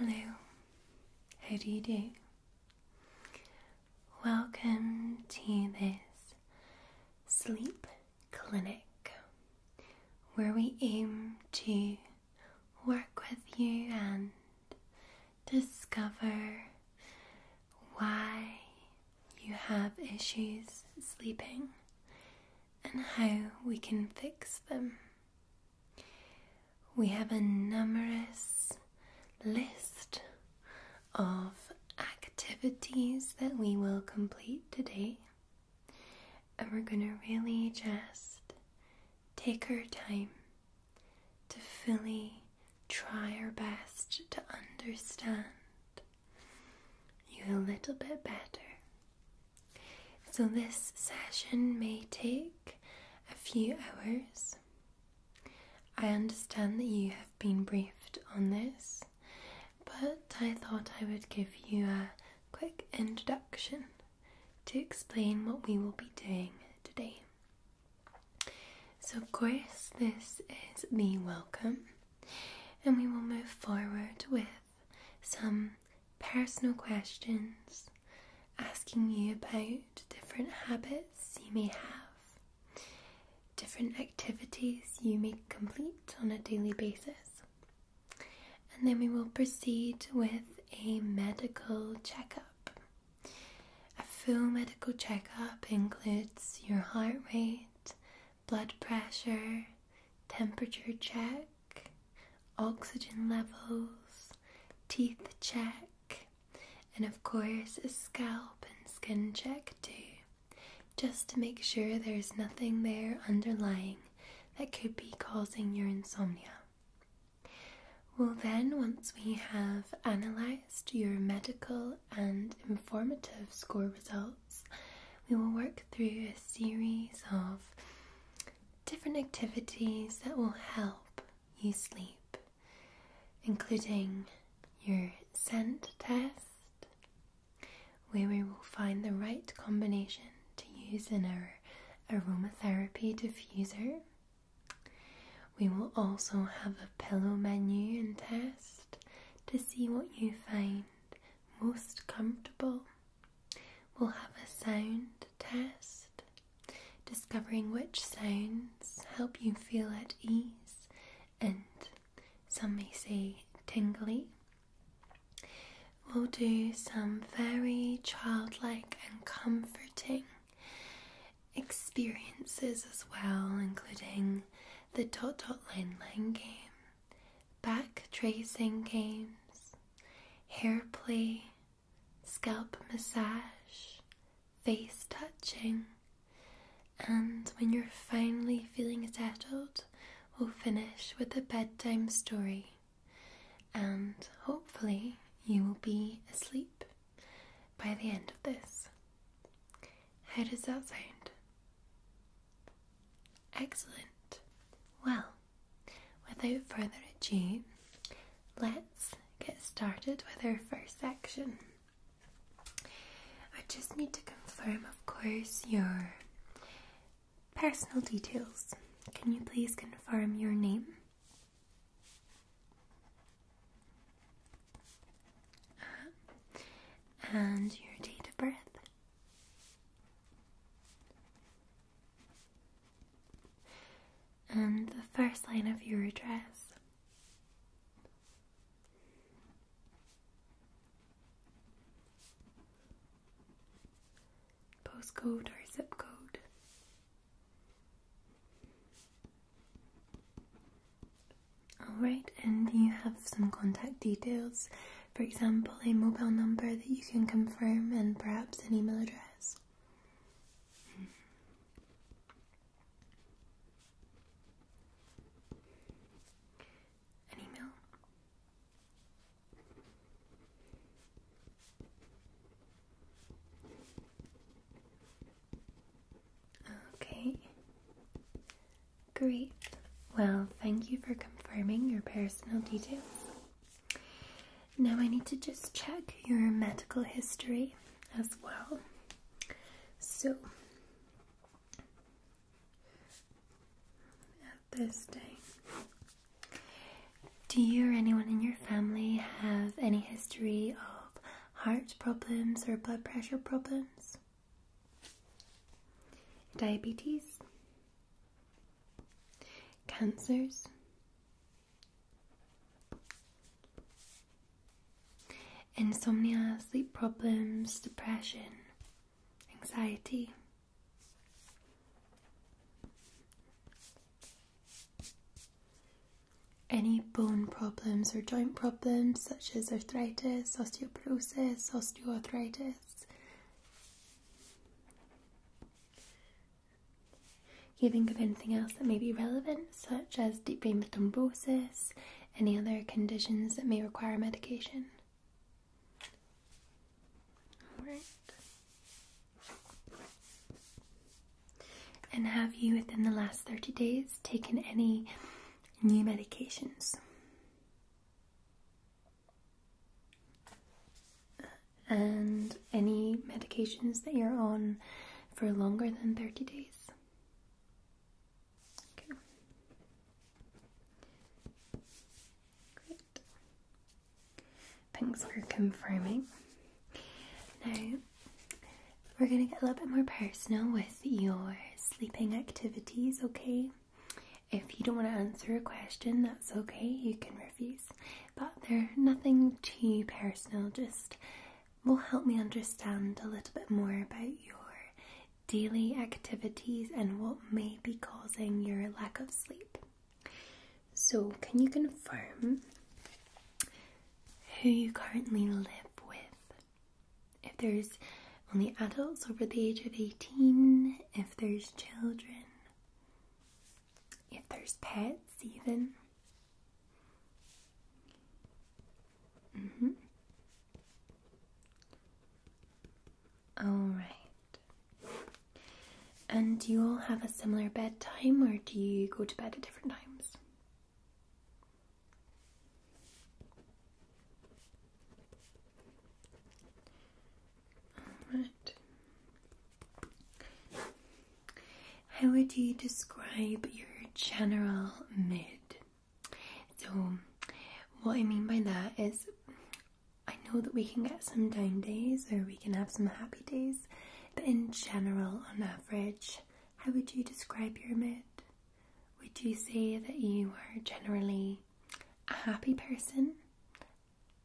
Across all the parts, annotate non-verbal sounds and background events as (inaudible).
Hello, how do you do? Welcome to this sleep clinic where we aim to work with you and discover why you have issues sleeping and how we can fix them. We have a numerous list of activities that we will complete today and we're going to really just take our time to fully try our best to understand you a little bit better. So, this session may take a few hours. I understand that you have been briefed on this, but I thought I would give you a quick introduction to explain what we will be doing today. So, of course, this is the welcome, and we will move forward with some personal questions asking you about different habits you may have, different activities you may complete on a daily basis, and then we will proceed with a medical checkup. A full medical checkup includes your heart rate, blood pressure, temperature check, oxygen levels, teeth check, and of course a scalp and skin check too, just to make sure there's nothing there underlying that could be causing your insomnia. Well, then, once we have analysed your medical and informative score results, we will work through a series of different activities that will help you sleep, including your scent test, where we will find the right combination to use in our aromatherapy diffuser. We will also have a pillow menu and test to see what you find most comfortable. We'll have a sound test, discovering which sounds help you feel at ease and some may say tingly We'll do some very childlike and comforting experiences as well, including the dot dot line line game, back tracing games, hair play, scalp massage, face touching, and when you're finally feeling settled, we'll finish with a bedtime story and hopefully you will be asleep by the end of this. How does that sound? Excellent. Well, without further ado, let's get started with our first section. I just need to confirm, of course, your Personal details. Can you please confirm your name? Uh-huh. and your date of birth? And the first line of your address? postcode or zip code. Alright, and you have some contact details, for example, a mobile number that you can confirm and perhaps an email address. An email. Okay. Great. Well, thank you for confirming your personal details. Now I need to just check your medical history as well. So, at this day, do you or anyone in your family have any history of heart problems or blood pressure problems? Diabetes? Cancers? Insomnia, sleep problems, depression, anxiety? Any bone problems or joint problems, such as arthritis, osteoporosis, osteoarthritis. You think of anything else that may be relevant, such as deep vein thrombosis, any other conditions that may require medication? All right. And have you, within the last 30 days, taken any new medications? And any medications that you're on for longer than 30 days? Thanks for confirming. Now, we're going to get a little bit more personal with your sleeping activities, okay? If you don't want to answer a question, that's okay, you can refuse. But they're nothing too personal, just will help me understand a little bit more about your daily activities and what may be causing your lack of sleep. So, can you confirm who you currently live with? If there's only adults over the age of 18, if there's children, if there's pets, even. Mm hmm. All right. And do you all have a similar bedtime or do you go to bed at different times? Alright. How would you describe your general mood? So, what I mean by that is I know that we can get some down days or we can have some happy days, but in general, on average, how would you describe your mood? Would you say that you are generally a happy person,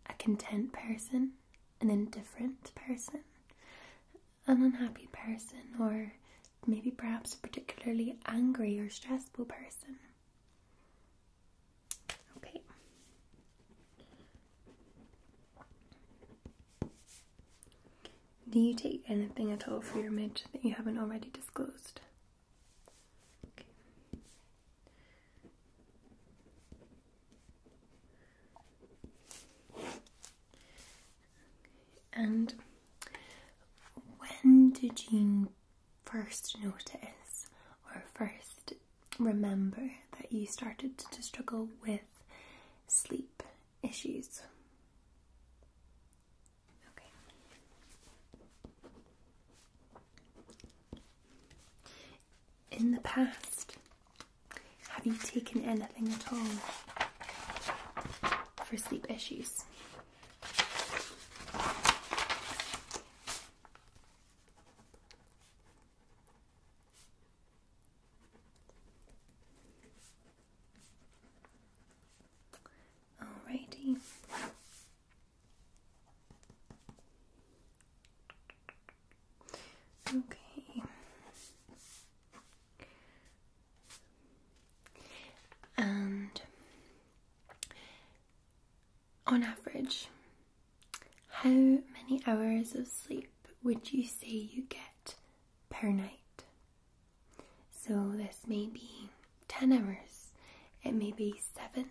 a content person, an indifferent person, an unhappy person, or maybe perhaps a particularly angry or stressful person? Okay. Do you take anything at all for your midge that you haven't already disclosed? And when did you first notice or first remember that you started to struggle with sleep issues. Okay. In the past, have you taken anything at all for sleep issues? Alrighty. Okay. And on average, how many hours of sleep would you say you get per night? So, this may be 10 hours, it may be 7,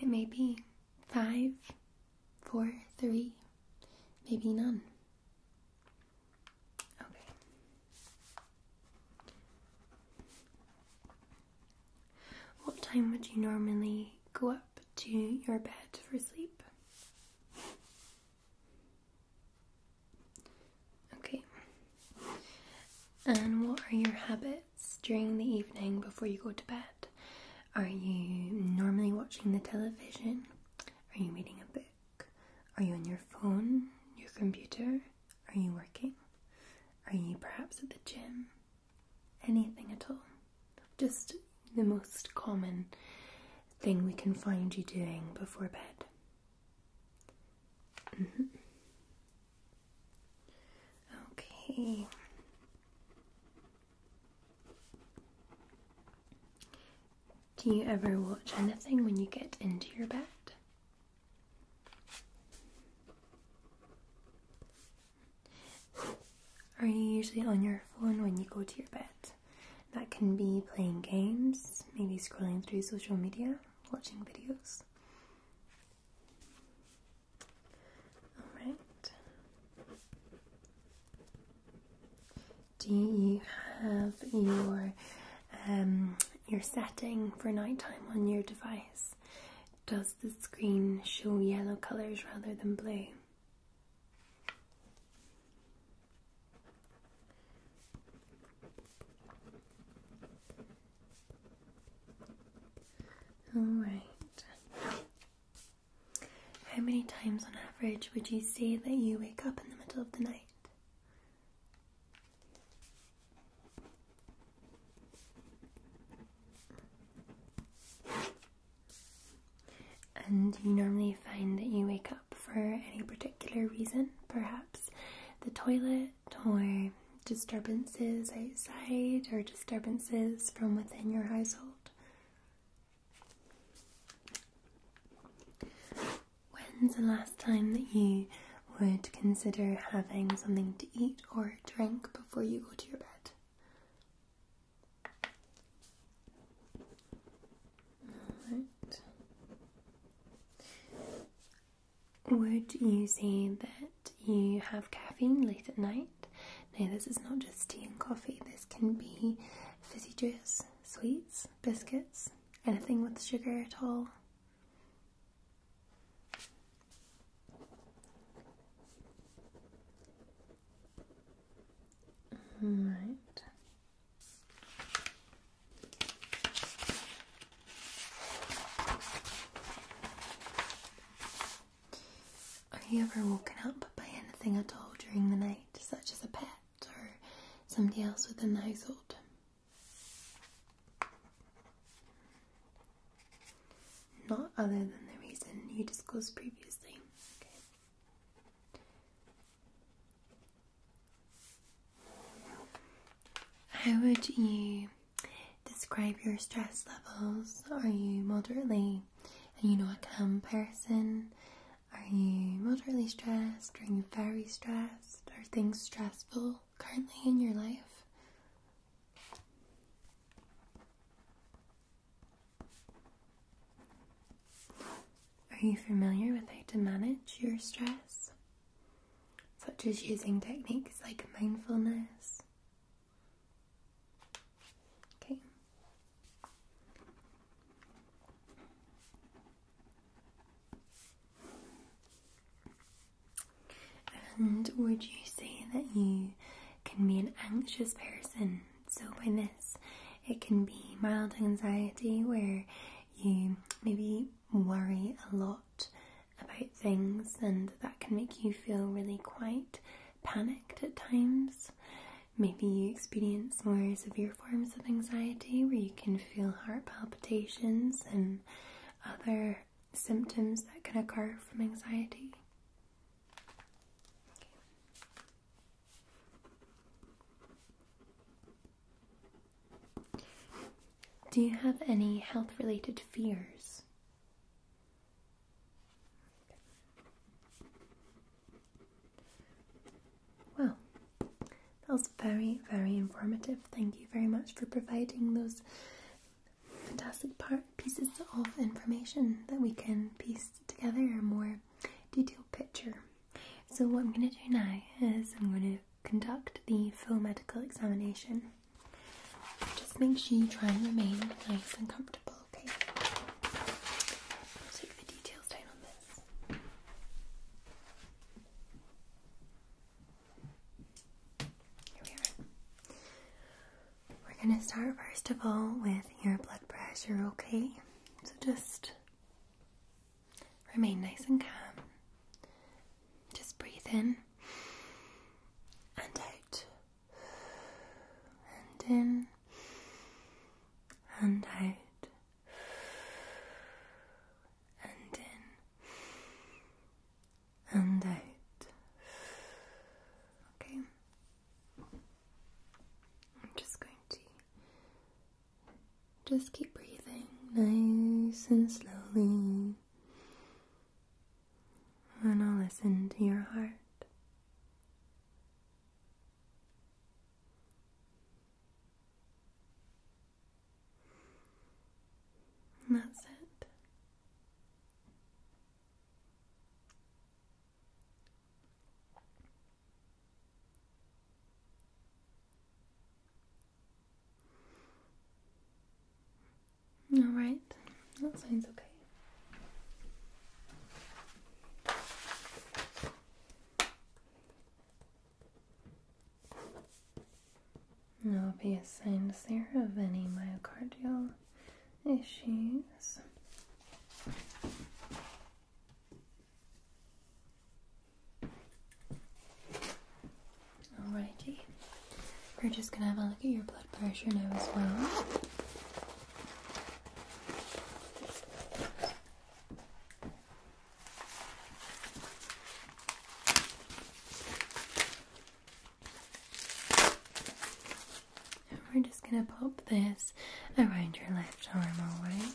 it may be 5, 4, 3, maybe none. Okay. What time would you normally go up to your bed for sleep. Okay. And what are your habits during the evening before you go to bed? Are you normally watching the television? Are you reading a book? Are you on your phone, your computer? Are you working? Are you perhaps at the gym? anything at all. Just the most common thing we can find you doing before bed. Mm-hmm. Okay. Do you ever watch anything when you get into your bed? Are you usually on your phone when you go to your bed? That can be playing games, maybe scrolling through social media, watching videos. Alright. Do you have your um, your setting for nighttime on your device? Does the screen show yellow colours rather than blue? All right. How many times on average would you say that you wake up in the middle of the night? And you normally find that you wake up for any particular reason, perhaps the toilet or disturbances outside or disturbances from within your household. When's the last time that you would consider having something to eat or drink before you go to your bed? Would you say that you have caffeine late at night? Now, this is not just tea and coffee, this can be fizzy juice, sweets, biscuits, anything with sugar at all. Right. Are you ever woken up by anything at all during the night, such as a pet or somebody else within the household? Not other than the reason you disclosed previously. Okay. How would you describe your stress levels? Are you moderately, and you know, a calm person? Are you moderately stressed? Are you very stressed? Are things stressful currently in your life? Are you familiar with how to manage your stress? Such as using techniques like mindfulness? Okay. And would you say that you can be an anxious person so, by this, it can be mild anxiety where you maybe worry a lot about things, and that can make you feel really quite panicked at times. Maybe you experience more severe forms of anxiety where you can feel heart palpitations and other symptoms that can occur from anxiety. Do you have any health related fears? Well, that was very, very informative. Thank you very much for providing those fantastic pieces of information that we can piece together more detailed picture. So what I'm going to do now is I'm going to conduct the full medical examination. Just make sure you try and remain nice and comfortable, okay? take the details down on this. Here we are. We're going to start first of all with your blood pressure, okay? So just remain nice and calm. Just breathe in and out, and in and out, and in and out. Okay, I'm just going to just keep breathing nice and slowly. And I'll listen to your heart. that's it. All right, that sounds okay. no obvious signs there of any myocardial issues. Alrighty. We're just gonna have a look at your blood pressure now as well we're just going to pop this around your left arm, alright?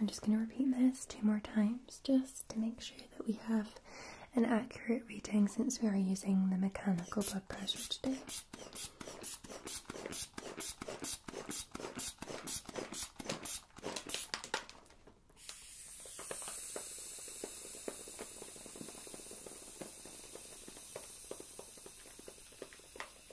I'm just going to repeat this two more times just to make sure that we have an accurate reading since we are using the mechanical blood pressure today.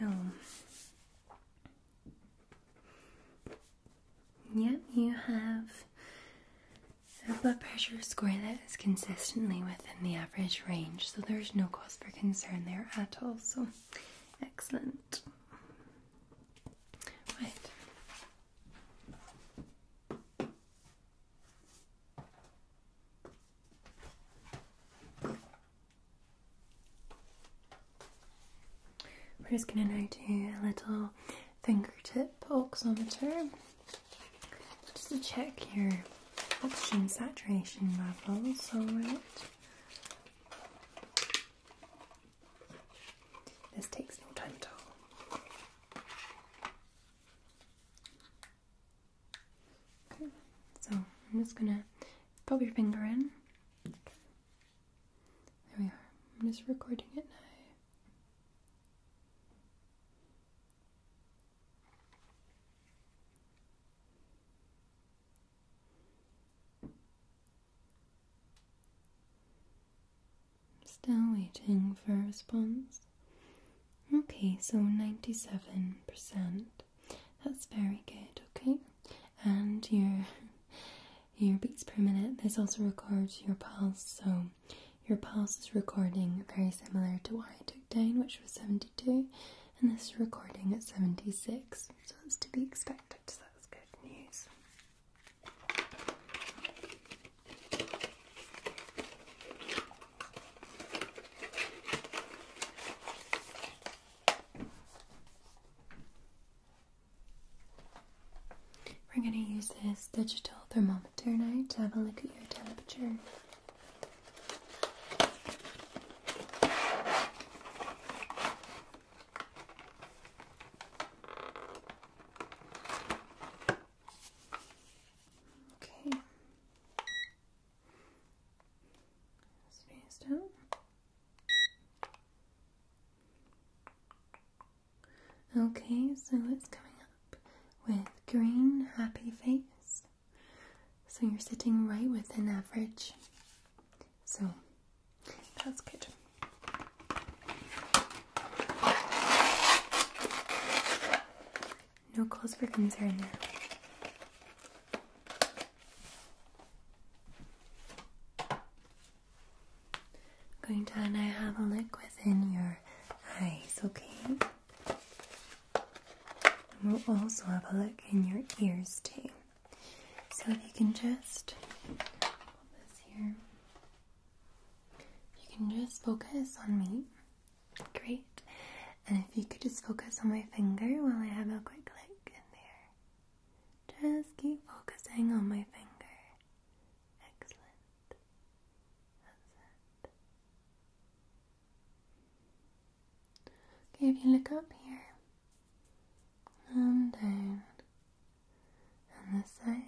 So, yep, you have a blood pressure score that is consistently within the average range, so there's no cause for concern there at all. So, excellent. Right, we're just going to now do a little fingertip oximeter just to check your oxygen saturation levels, alright? This takes no time at all. so I'm just gonna put your finger in. There we are. I'm just recording it now. Still waiting for a response. Okay, so 97%. That's very good, okay? And your your beats per minute. This also records your pulse, so your pulse is recording very similar to what I took down, which was 72, and this is recording at 76, so that's to be expected, so that's good news. We're going to use this digital thermometer now to have a look at your temperature. Okay. Sneeze down. Okay, so it's coming up with green happy face. So you're sitting right within average. So that's good. No clothes for concern there. I'm going to now have a look within your eyes, okay? And we'll also have a look in your ears too. So if you can just hold this here. You can just focus on me. Great. And if you could just focus on my finger while I have a quick click in there. Just keep focusing on my finger. Excellent. That's Okay, if you look up here, and down, and this side,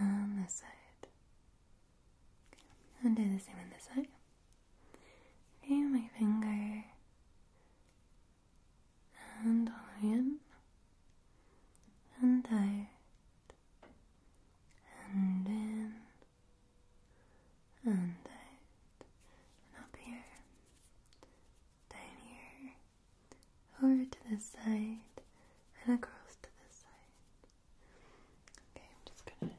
on this side. And do the same on this side. Okay, my finger and iron and out and in and out and up here down here over to this side and across to this side. Okay, I'm just gonna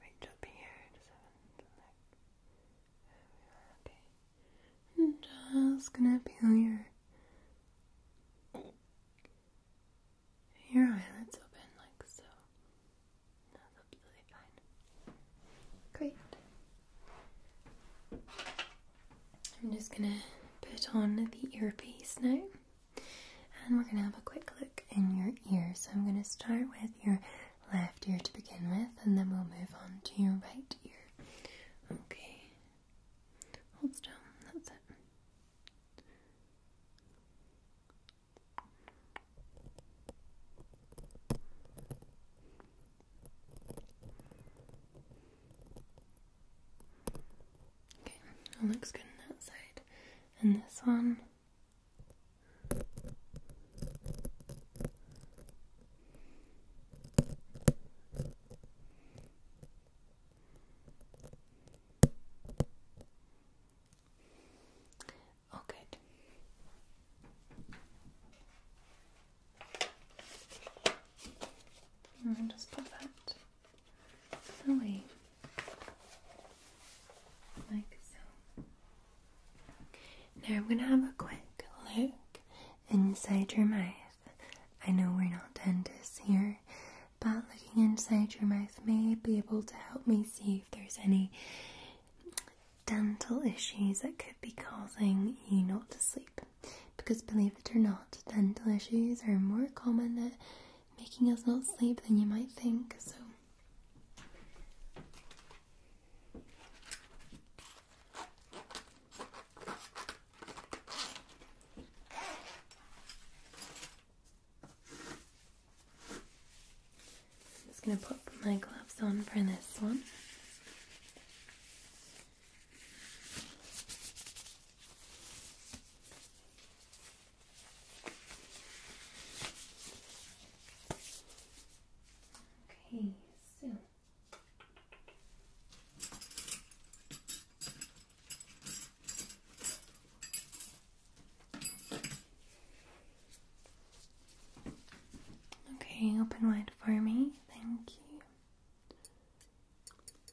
reach up here just have a Okay. I'm just gonna peel your your eyelids open like so. That's absolutely fine. Great. I'm just going to put on the earpiece now and we're going to have a quick look in your ear. So I'm going to start with your left ear to begin with and then we'll move on to your right ear. Okay. Hold still. That's it. Okay, that looks good on that side. And this one. Oh, good. And just pop that away. Like so. Now I'm gonna have a quick look inside your mouth. I know we're not dentists here, but looking inside your mouth may be able to help me see if there's any dental issues that could be causing you not to sleep because believe it or not, dental issues are more common at making us not sleep than you might think. So, I'm just going to put my gloves on for this one. Okay, so Okay, open wide for me. Thank you.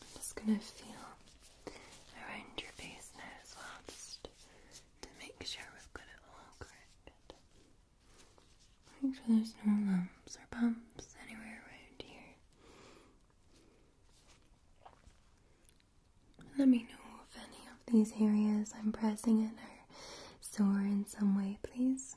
I'm just going to feel around your face now as well, just to make sure we've got it all correct. Make sure there's no lumps or bumps anywhere around here. Let me know if any of these areas I'm pressing in are sore in some way, please.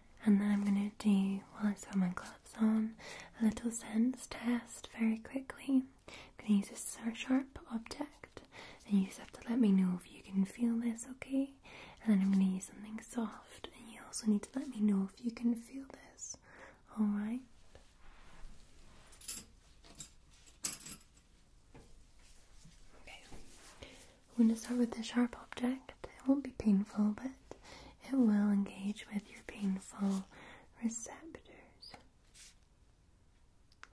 and then I'm going to do, while I've my gloves on, a little sense test very quickly. I'm going to use a sharp object, and you just have to let me know if you can feel this, okay? And then I'm going to use something soft, and you also need to let me know if you can feel this, alright? Okay, I'm going to start with the sharp object. It won't be painful, but it will engage with your painful receptors.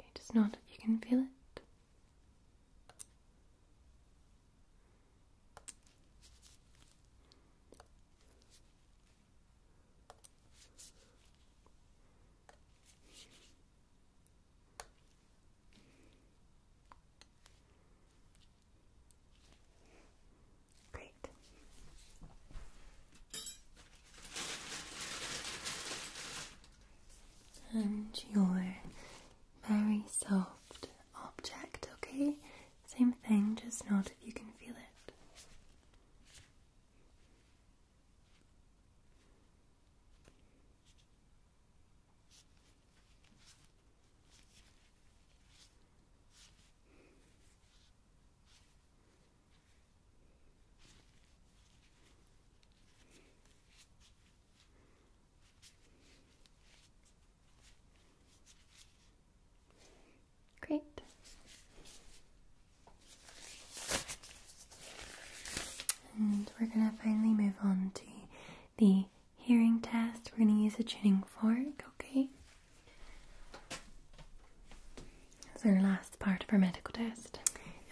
Okay, just nod if you can feel it. Great. And your very soft object, okay? Same thing, just not if you can feel it. Great. And we're going to finally move on to the hearing test. We're going to use a tuning fork, okay? This is our last part of our medical test.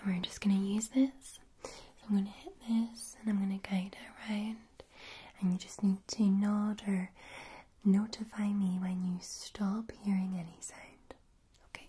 And we're just going to use this. I'm going to hit this and I'm going to guide it around. And you just need to nod or notify me when you stop hearing any sound. Okay?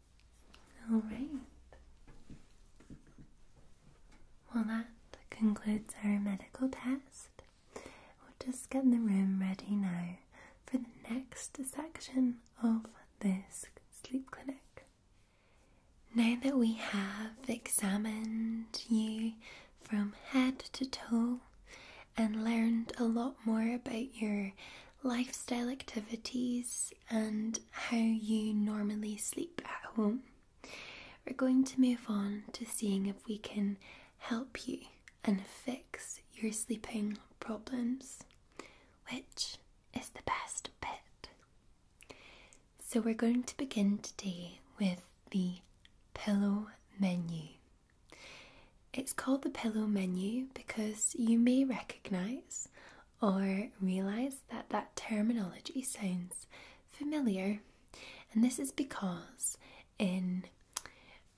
All right. Well, that concludes our medical test. We'll just get the room ready now for the next section of this sleep clinic. Now that we have examined you from head to toe and learned a lot more about your lifestyle activities and how you normally sleep at home, we're going to move on to seeing if we can help you and fix your sleeping problems, which is the best bit. So, we're going to begin today with the pillow menu. It's called the pillow menu because you may recognise or realize that that terminology sounds familiar. And this is because in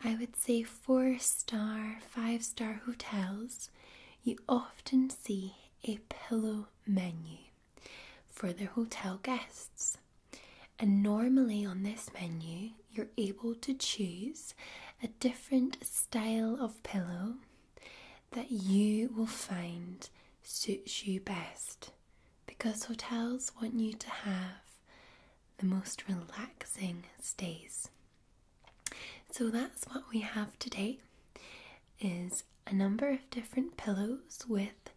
I would say four star, five star hotels, you often see a pillow menu for the hotel guests. And normally on this menu, you're able to choose a different style of pillow that you will find suits you best because hotels want you to have the most relaxing stays. So that's what we have today is a number of different pillows with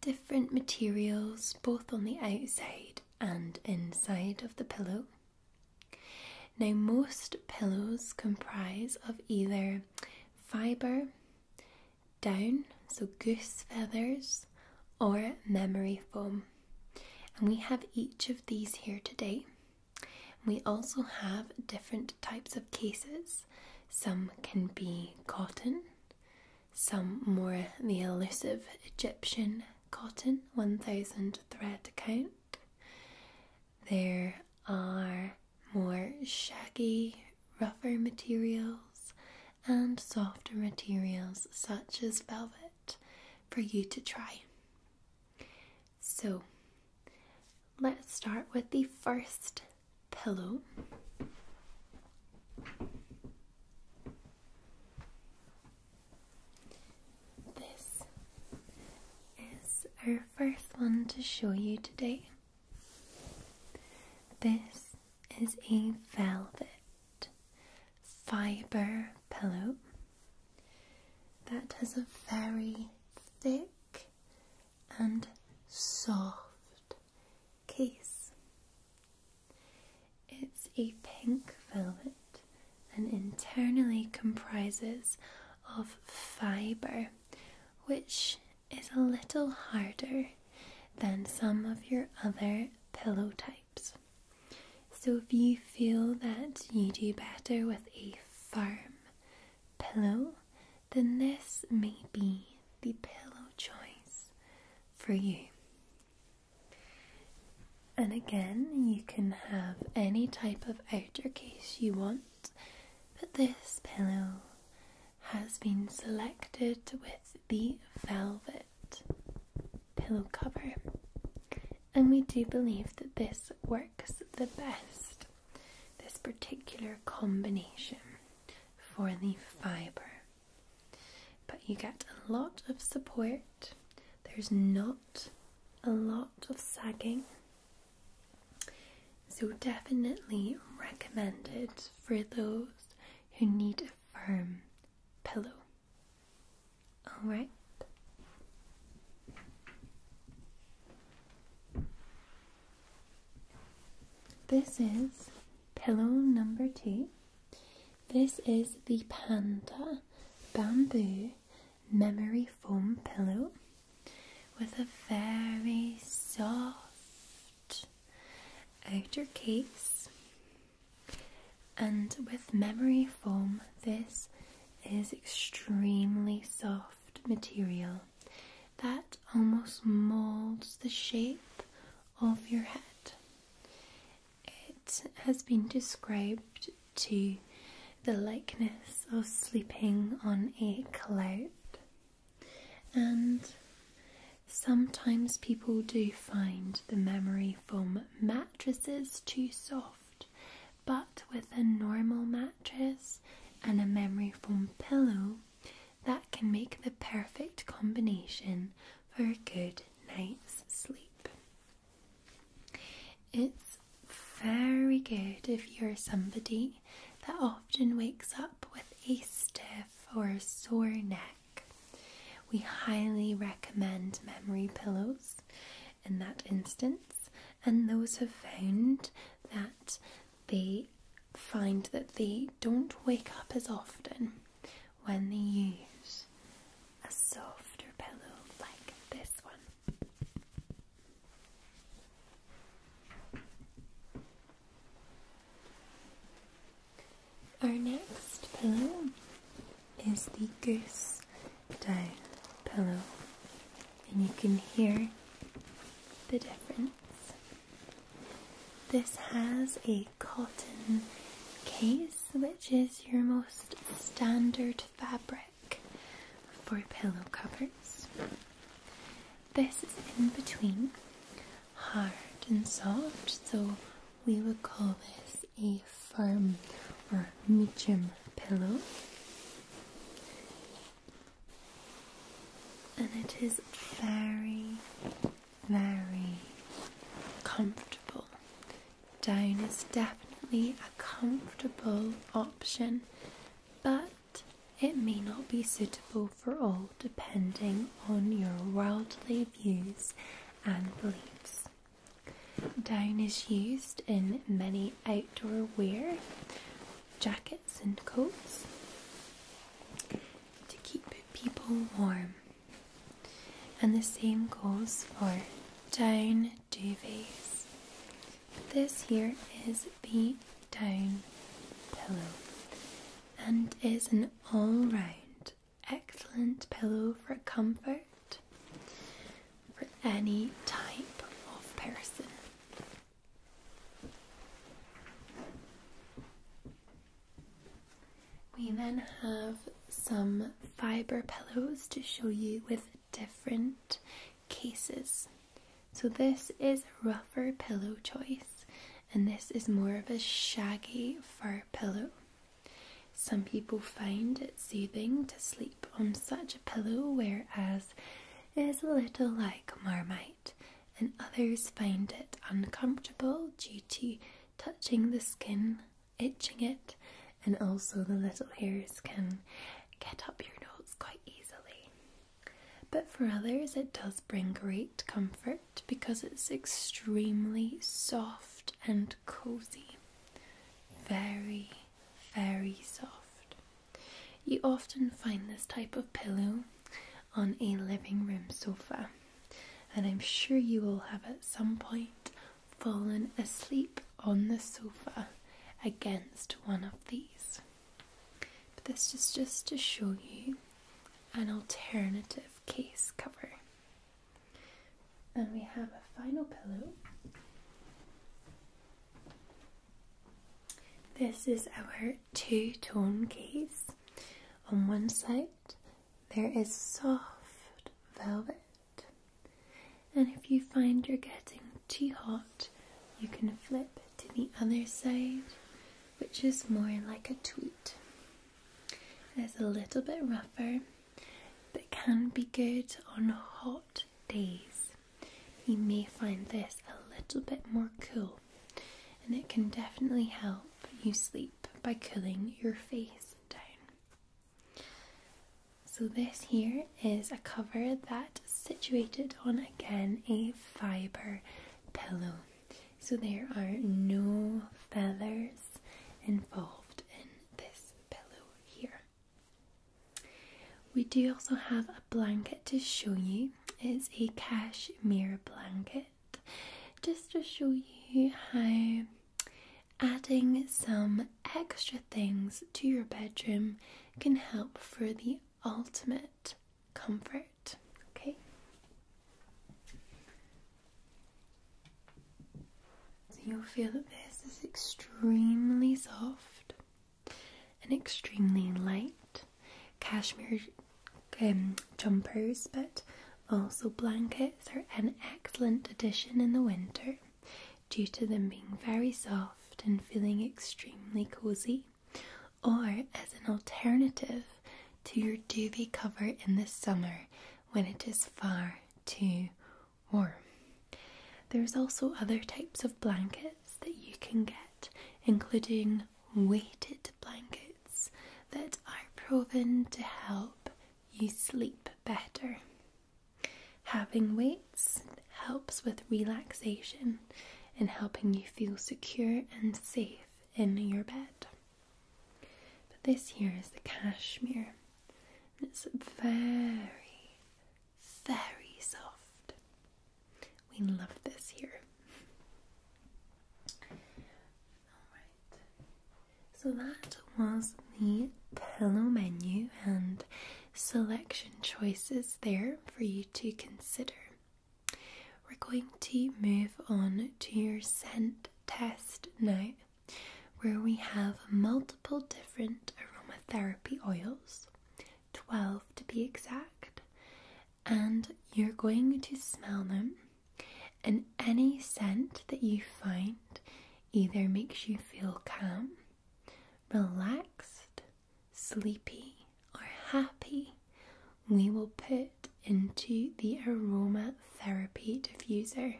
different materials both on the outside and inside of the pillow. Now most pillows comprise of either fiber, down, so goose feathers, or memory foam. And we have each of these here today. We also have different types of cases. Some can be cotton, some more the elusive Egyptian cotton 1000 thread count, there are more shaggy, rougher materials and softer materials such as velvet for you to try. So, let's start with the first pillow. This is our first one to show you today. This is a velvet fiber pillow that has a very thick and soft case. It's a pink velvet and internally comprises of fiber which is a little harder than some of your other pillow types. So if you feel that you do better with a firm pillow, then this may be the pillow choice for you. And again, you can have any type of outer case you want but this pillow has been selected with the velvet pillow cover, and we do believe that this works the best, this particular combination for the fibre. But you get a lot of support, there's not a lot of sagging. So, definitely recommended for those who need a firm pillow. Alright. This is pillow number two. This is the Panda Bamboo Memory Foam Pillow with a very soft outer case and with memory foam this is extremely soft material that almost molds the shape of your head it has been described to the likeness of sleeping on a cloud and sometimes people do find the memory foam mattresses too soft, but with a normal mattress and a memory foam pillow, that can make the perfect combination for a good night's sleep. It's very good if you're somebody that often wakes up with a stiff or sore neck. We highly recommend memory pillows in that instance, and those have found that they find that they don't wake up as often when they use a softer pillow like this one. Our next pillow is the goose down pillow, and you can hear the difference. This has a cotton case, which is your most standard fabric for pillow covers. This is in between hard and soft, so we would call this a firm or medium pillow. And it is very, very comfortable. Down is definitely a comfortable option, but it may not be suitable for all depending on your worldly views and beliefs. Down is used in many outdoor wear, jackets and coats, to keep people warm. And the same goes for down duvets. This here is the down pillow and is an all-round excellent pillow for comfort for any type of person. We then have some fibre pillows to show you with different cases. So this is a rougher pillow choice and this is more of a shaggy fur pillow. Some people find it soothing to sleep on such a pillow whereas it is a little like marmite and others find it uncomfortable due to touching the skin, itching it and also the little hairs can get up your nose quite easily. But for others, it does bring great comfort because it's extremely soft and cozy. Very, very soft. You often find this type of pillow on a living room sofa, and I'm sure you will have at some point fallen asleep on the sofa against one of these. But this is just to show you an alternative case cover. And we have a final pillow. This is our two-tone case. On one side there is soft velvet and if you find you're getting too hot you can flip to the other side, which is more like a tweet. It's a little bit rougher, but can be good on hot days. You may find this a little bit more cool, and it can definitely help you sleep by cooling your face down. So, this here is a cover that is situated on again a fibre pillow. So there are no feathers involved in this pillow here. We do also have a blanket to show you. It's a cashmere blanket just to show you how adding some extra things to your bedroom can help for the ultimate comfort. Okay? So you'll feel that this is extremely soft and extremely light. Cashmere um, jumpers, but also blankets are an excellent addition in the winter due to them being very soft and feeling extremely cozy or as an alternative to your duvet cover in the summer when it is far too warm. There's also other types of blankets that you can get, including weighted blankets that are proven to help you sleep better. Having weights helps with relaxation and helping you feel secure and safe in your bed. But this here is the cashmere. and It's very, very soft. We love this here. Alright, so that was the pillow menu and selection choices there for you to consider. We're going to move on to your scent test now, where we have multiple different aromatherapy oils, 12 to be exact, and you're going to smell them. And any scent that you find either makes you feel calm, relaxed, sleepy, or happy, we will put into the aroma therapy diffuser.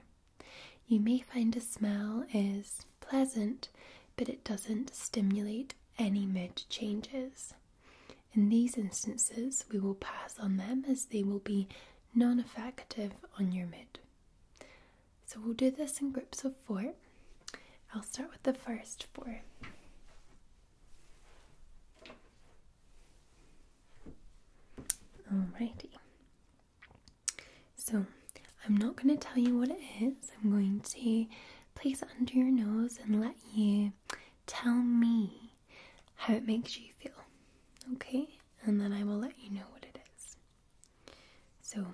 You may find a smell is pleasant, but it doesn't stimulate any mid changes. In these instances, we will pass on them as they will be non effective on your mid. So we'll do this in groups of four. I'll start with the first four. Alrighty. So I'm not going to tell you what it is. I'm going to place it under your nose and let you tell me how it makes you feel. Okay? And then I will let you know what it is. So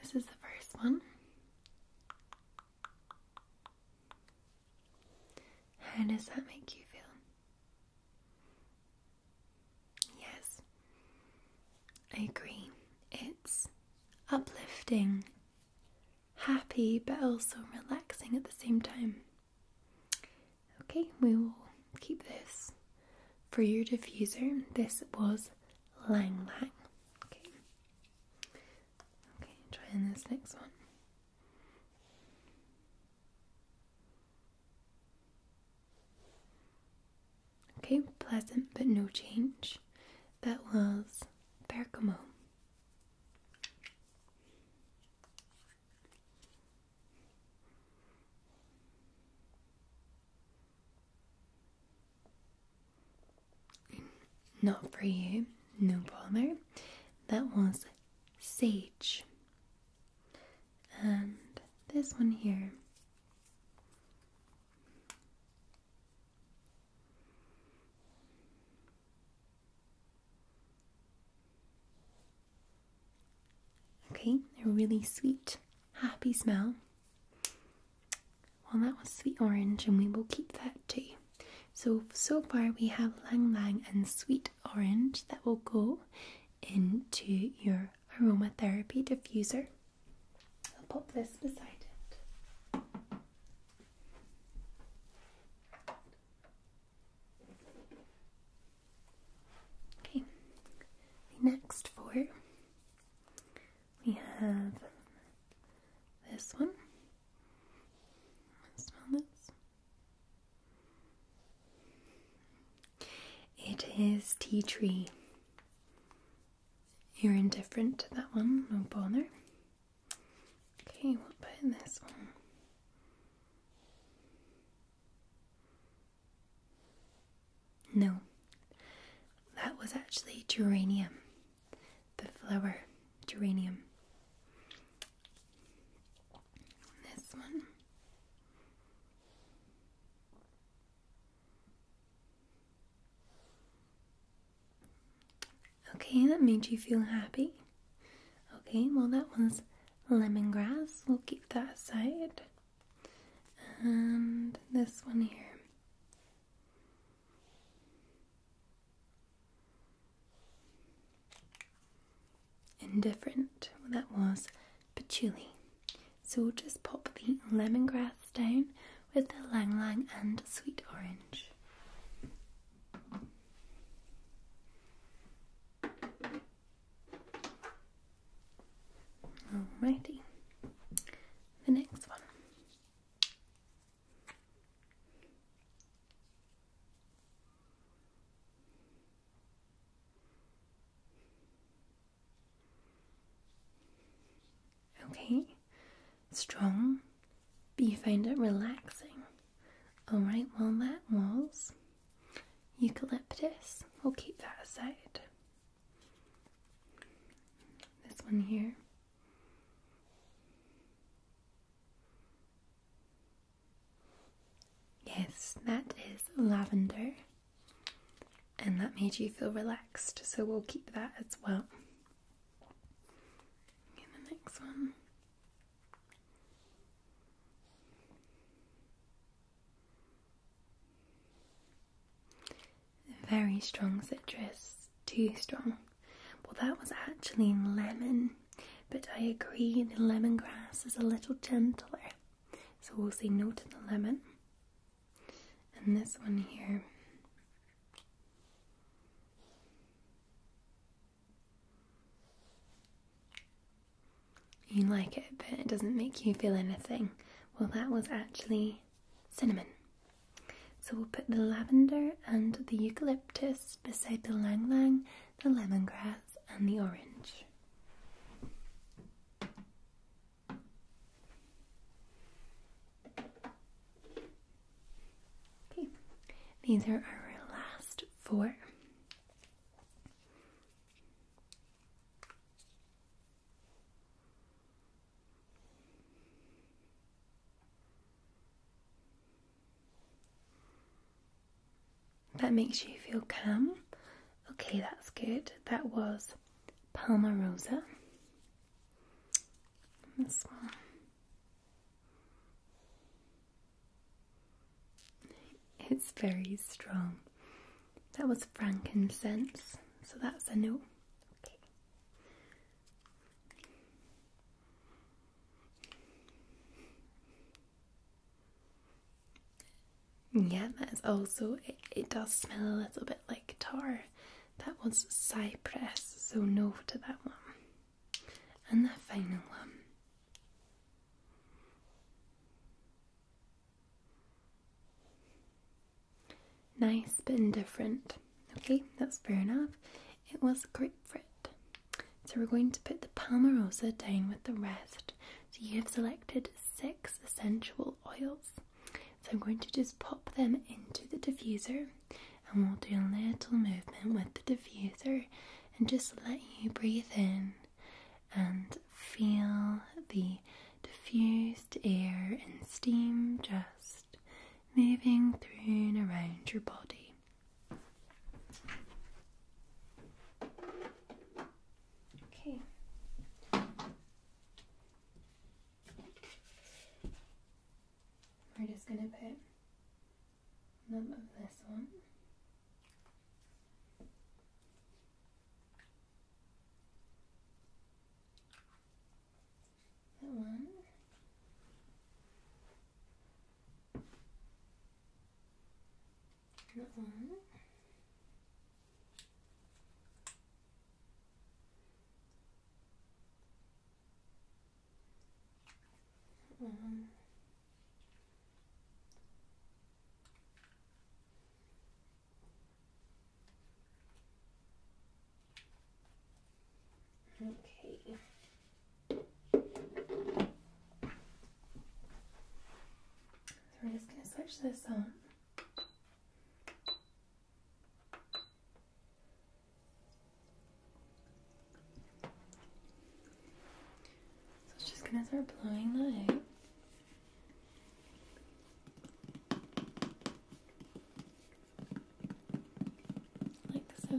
this is the first one. How does that make you feel? Yes, I agree. It's uplifting, happy, but also relaxing at the same time. Okay, we will keep this for your diffuser. This was Lang Lang. Okay. Okay, trying this next one. Okay, pleasant but no change. That was Bergamo. Not for you, no bother. That was sage. And this one here. Okay, a really sweet, happy smell. Well, that was sweet orange, and we will keep that too. So, so far we have lang lang and sweet orange that will go into your aromatherapy diffuser. I'll pop this beside it. Okay, the next for we have this one Smell this. It is tea tree. You're indifferent to that one, no bother. Okay, we'll put in this one? No, that was actually geranium the flower geranium. This one. Okay, that made you feel happy. Okay, well, that one's lemongrass. We'll keep that aside. And this one here. Indifferent. that was patchouli. So we'll just pop the lemongrass down with the lang lang and sweet orange. Alrighty, the next one. Okay, strong, but you find it relaxing. Alright, well, that was eucalyptus. We'll keep that aside. This one here. Yes, that is lavender, and that made you feel relaxed, so we'll keep that as well. the next one. Very strong citrus, too strong. Well, that was actually lemon, but I agree the lemongrass is a little gentler, so we'll say no to the lemon. And this one here. You like it, but it doesn't make you feel anything. Well, that was actually cinnamon. So we'll put the lavender and the eucalyptus beside the lang lang, the lemongrass, and the orange. Okay, these are our last four. That makes you feel calm. Okay, that's good. That was Palma Rosa. this one. It's very strong. That was frankincense, so that's a no. Okay. Yeah, that's also it, does smell a little bit like tar. That was cypress, so no to that one. And the final one. Nice but indifferent. Okay, that's fair enough. It was grapefruit. So we're going to put the palmarosa down with the rest. So you have selected six essential oils. So I'm going to just pop them into the diffuser and we'll do a little movement with the diffuser and just let you breathe in and feel the diffused air and steam just moving through and around your body. Okay. We're just gonna put none of this one. That one and on. On. Okay. So we're just going to switch this on. So it's just going to start blowing Like so.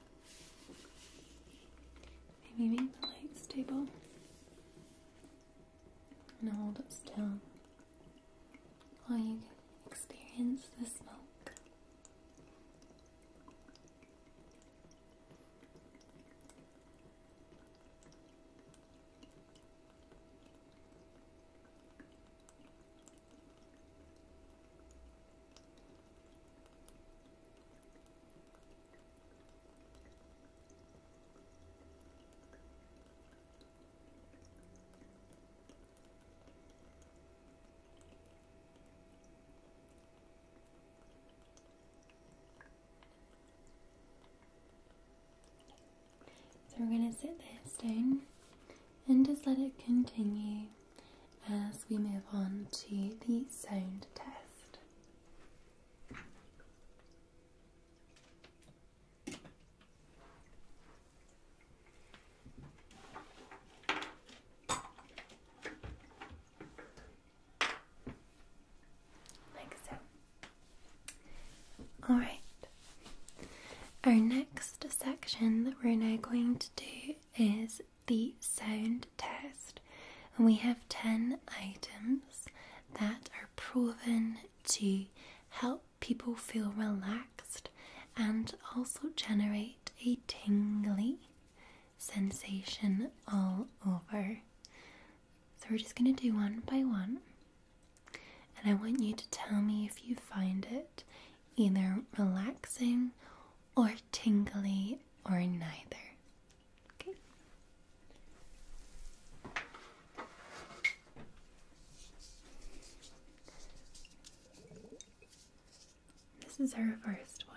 Maybe make the light stable. And hold it still while you experience the smoke. So we're going to sit this down and just let it continue as we move on to the sound test. Like so. All right. Our next section that we're now going to do is the sound test, and we have 10 items that are proven to help people feel relaxed and also generate a tingly sensation all over. So, we're just going to do one by one, and I want you to tell me if you find it either relaxing or tingly or neither. Okay. This is her first one.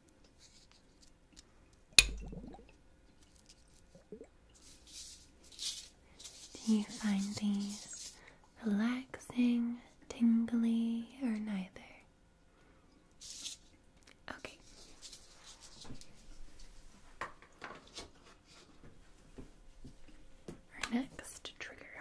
Do you find these relaxing, tingly, or neither? Okay. Our next trigger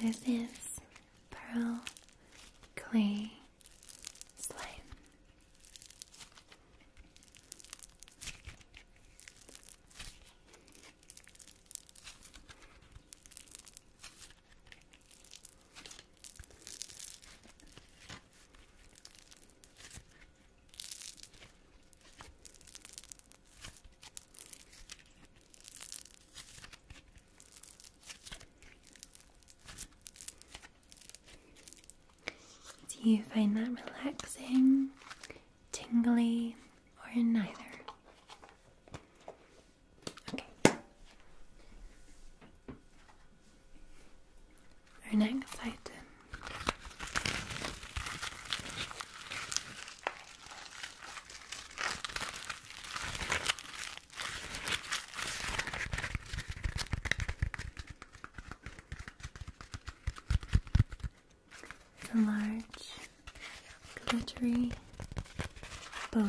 This is pearl clay slime. Do you find that relaxing, tingly, or neither? Okay. Our next it's a large glittery bow.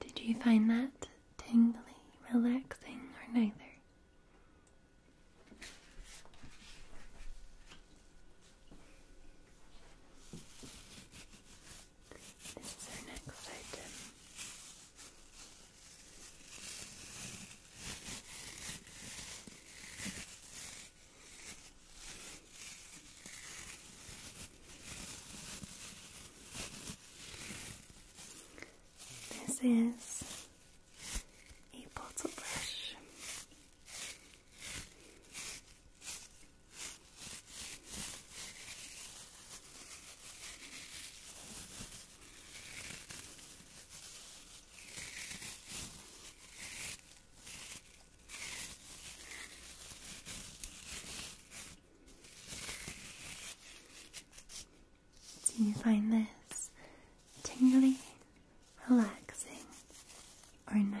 Did you find that tingly, relaxing, or neither? This is our next item. This is a bottle brush. Do you find this tingly, relaxing, or neither?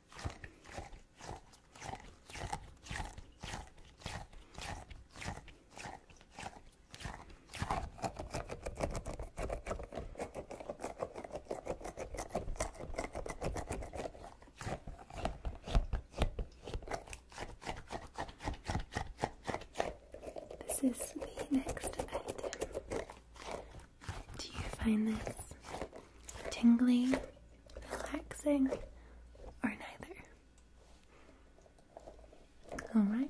This is the next item. Do you find this tingling, relaxing, or neither? All right.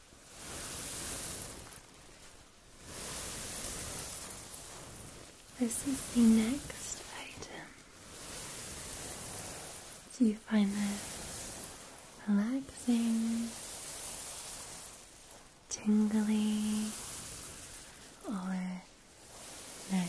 This is the next item. Do you find this relaxing, tingly, or neither?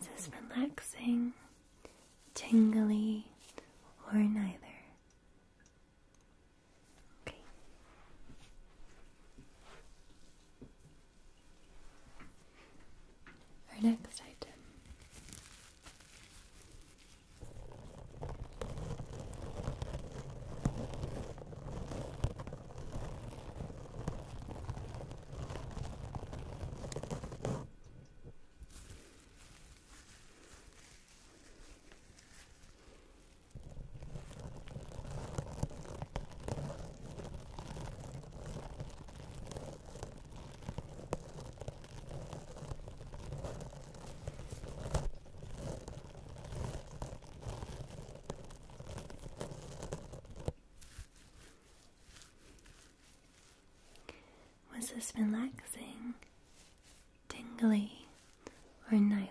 Is this relaxing, tingly, or neither? Our next item. Was this relaxing, tingly, or neither?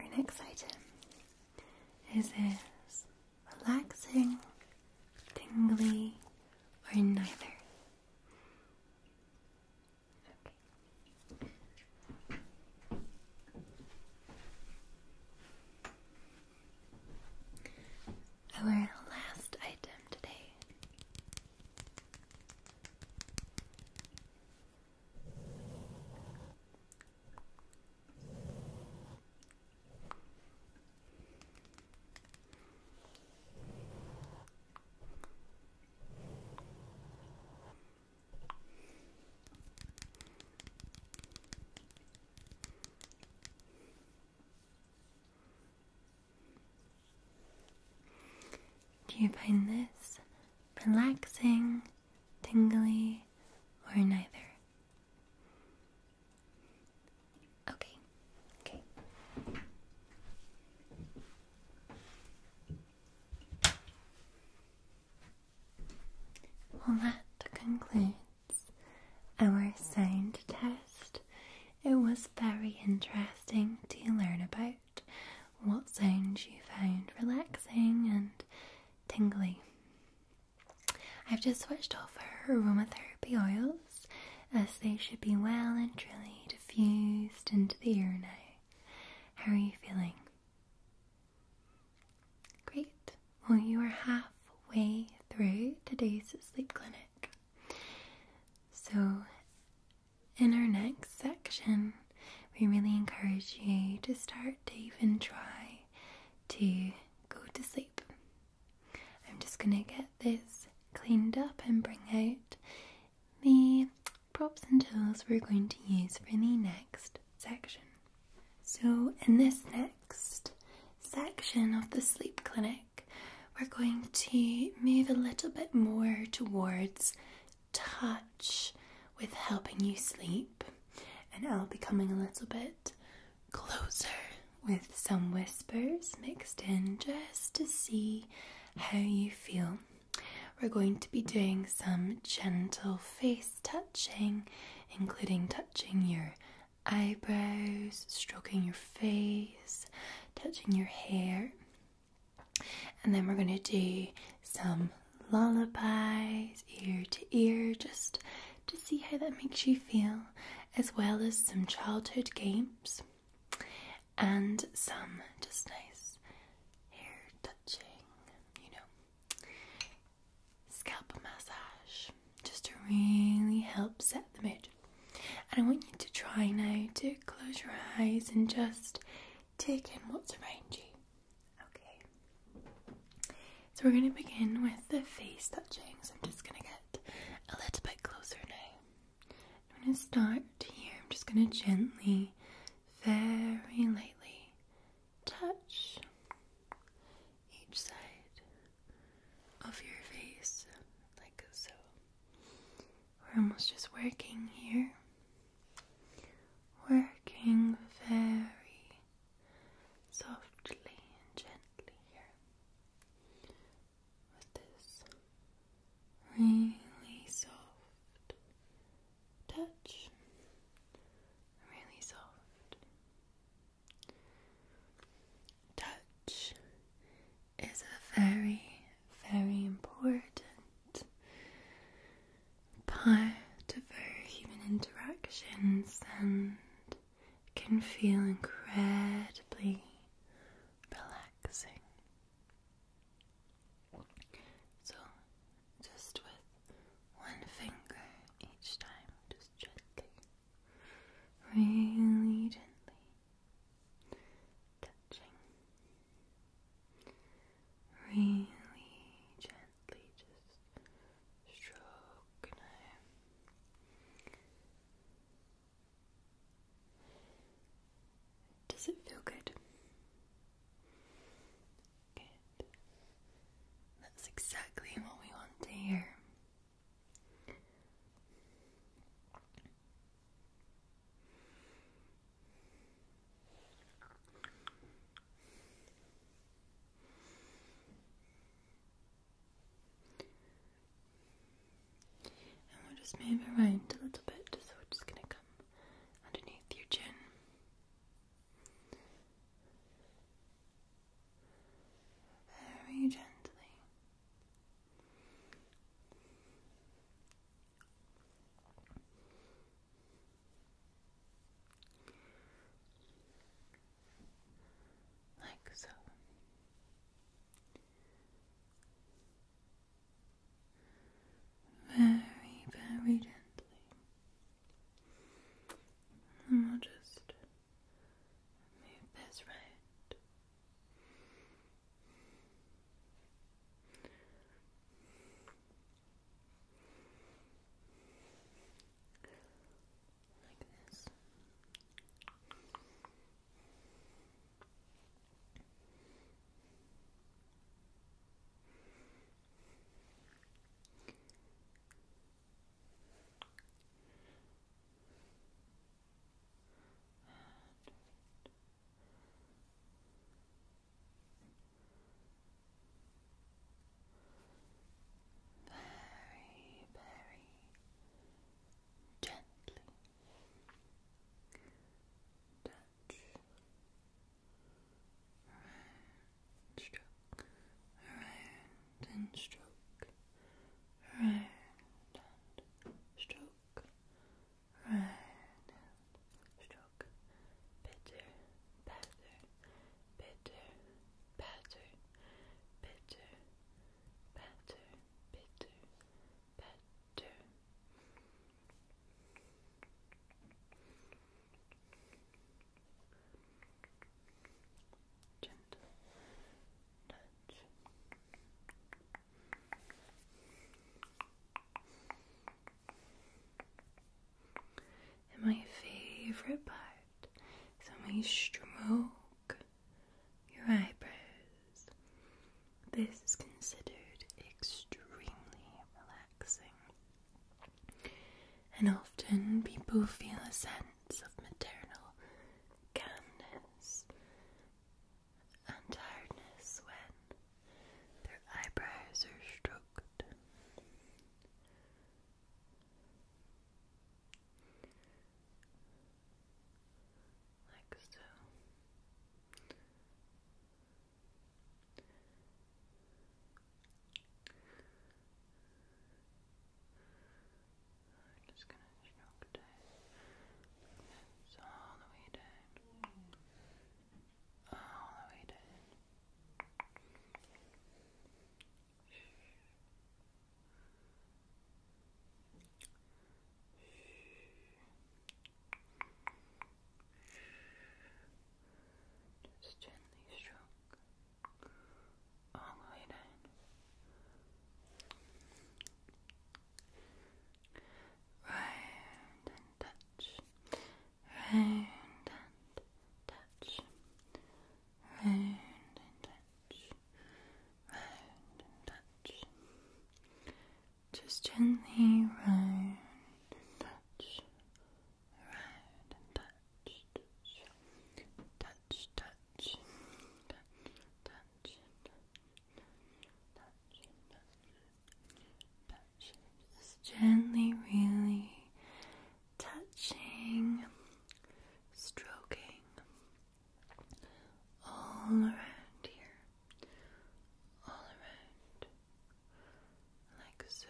Our next item is this relaxing, tingly, or neither. Okay. Our last item today do you find this relaxing, tingly, or neither? Okay. Okay. Well, that concludes our sound test. It was very interesting to learn about what sounds you found relaxing and tingly. I've just switched off her aromatherapy oils as they should be well and truly diffused into the air now. How are you feeling? Great. Well, you are halfway through today's sleep clinic. So, in our next section, we really encourage you to start to even try to go to sleep. I'm just going to get this cleaned up and bring out the props and tools we're going to use for the next section. So in this next section of the sleep clinic, we're going to move a little bit more towards touch with helping you sleep and I'll be coming a little bit closer with some whispers mixed in just to see how you feel. We're going to be doing some gentle face touching, including touching your eyebrows, stroking your face, touching your hair. And then we're going to do some lullabies, ear to ear, just to see how that makes you feel as well as some childhood games and some just nice hair touching, you know, scalp massage just to really help set the mood. And I want you to try now to close your eyes and just take in what's around you. Okay. So we're going to begin with the face touching. So I'm just going to get a little bit closer now. I'm going to start here. I'm just going to gently, very lightly touch each side of your face, like so. We're almost just working here. Working very softly and gently here this really soft touch, really soft touch is a very, very important part of our human interactions and can feel incredibly relaxing. So, just with one finger each time, just gently, really gently touching, really gently just stroking does it feel good? That's exactly what we want to hear. And we'll just move around a little bit. So we're just going to come underneath your chin. Very gently like so. Very, very gently. And we'll just move this right like this. very, very gently stroke around and stroke around stroke around stroke bitter, better, bitter, better, bitter, better, better, better. Gentle touch. And my favorite part is when we stroke your eyebrows. This is considered extremely relaxing, and often people feel a sense of maternal calmness and tiredness when their eyebrows are stroked like so. just gonna stroke down it's all the way down. All the way down. Just gently stroke all the way down. Round and touch, round and touch, round and touch, just gently touch, touch, touch, touch, touch, touch, touch, touch. Just gently, really touching, stroking, all around here, all around, like so.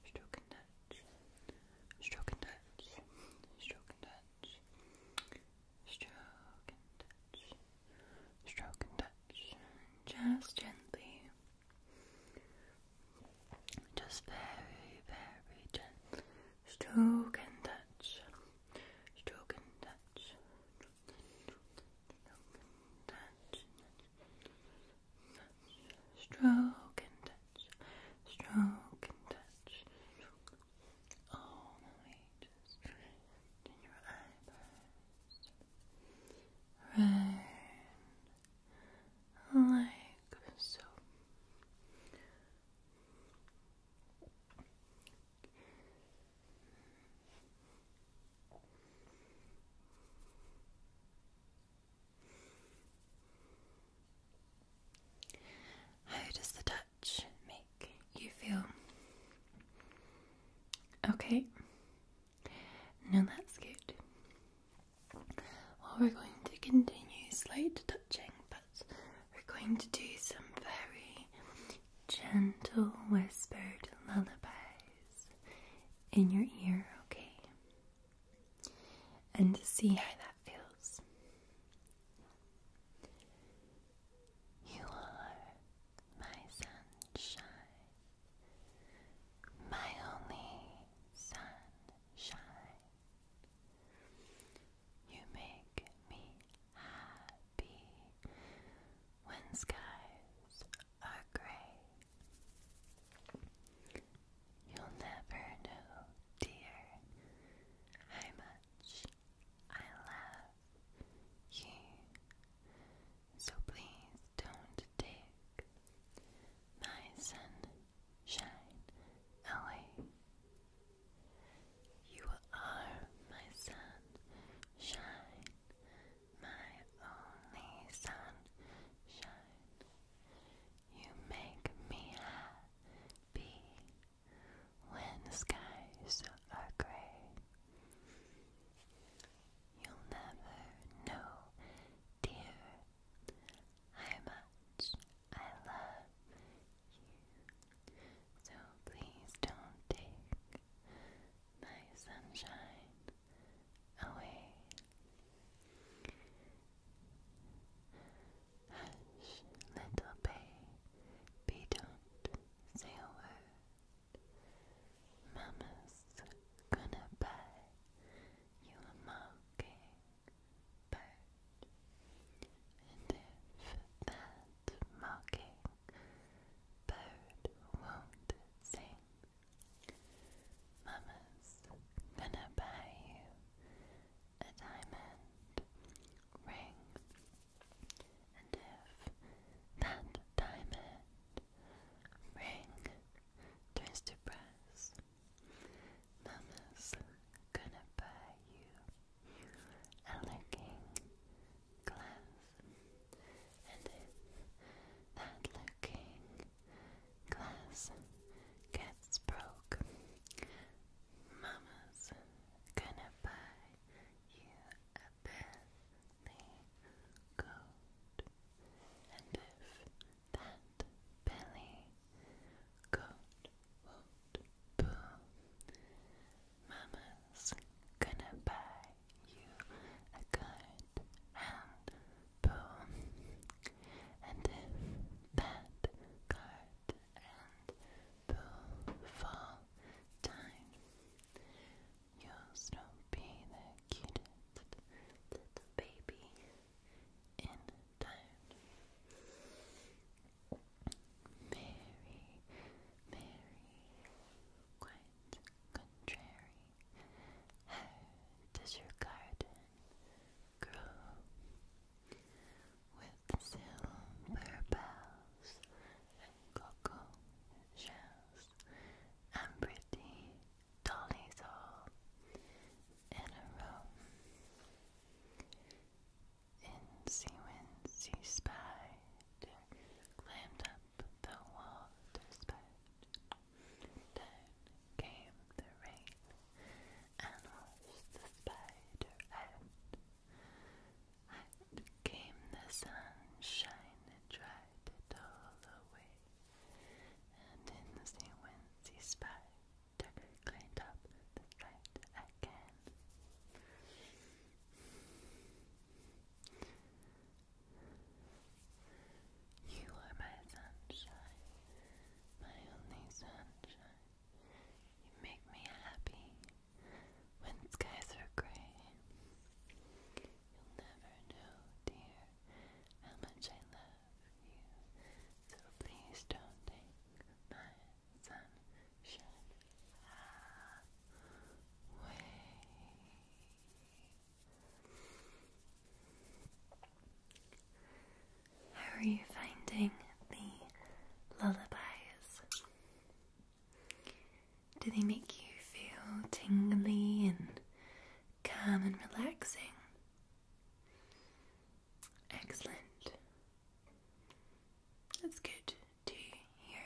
Stroke touch, stroke touch, stroke touch, stroke touch, stroke touch, stroke touch, just gently. Just very, very gentle. Stroke and touch. Stroke and touch. Stroke and touch. Stroke and touch. Stroke and touch. All the way just in your eyebrows. Round like so. How does the touch make you feel? Okay, now that's good. Well, we're going to continue slight touching, but we're going to do some very gentle whispered lullabies in your ear, okay? And see how that feels. You are my sunshine my only sunshine. You make me happy when skies are gray. You'll never know, dear, how much I love you. So please don't take my sunshine away. You are my sunshine, my only sunshine. You make me happy when skies are gray. You'll never know, dear, how much I love you. So please don't take my sunshine away. Hush, little baby, don't say a word. Mama's gonna buy you a mockingbird, and if that mockingbird won't sing, Mama's gonna buy you a diamond ring, and if that diamond Ring turns to brass. Mama's gonna buy you a looking glass. And if that looking glass gets broke, Mama's gonna buy you a billy goat. And if that Billy Goat won't Mama's gonna buy you a goat and boo. And if that goat and boo fall time, you'll still be cutest little baby in town. Very, very quite contrary. How does your garden grow? With silver bells and cocoa shells and pretty dollies all in a row. In sea wind, sea spider climbed up the wall to spite. Down came the rain and washed the spider out. Out came the sunshine and dried it all away and in the sequence he spied, climbed up the slide again. You are my sunshine, my only sunshine. You make me happy when skies are gray. You'll never know, dear, how much I love so please don't take my sunshine away. How are you finding the lullabies? Do they make you feel tingly and calm and relaxing. Excellent. That's good to hear.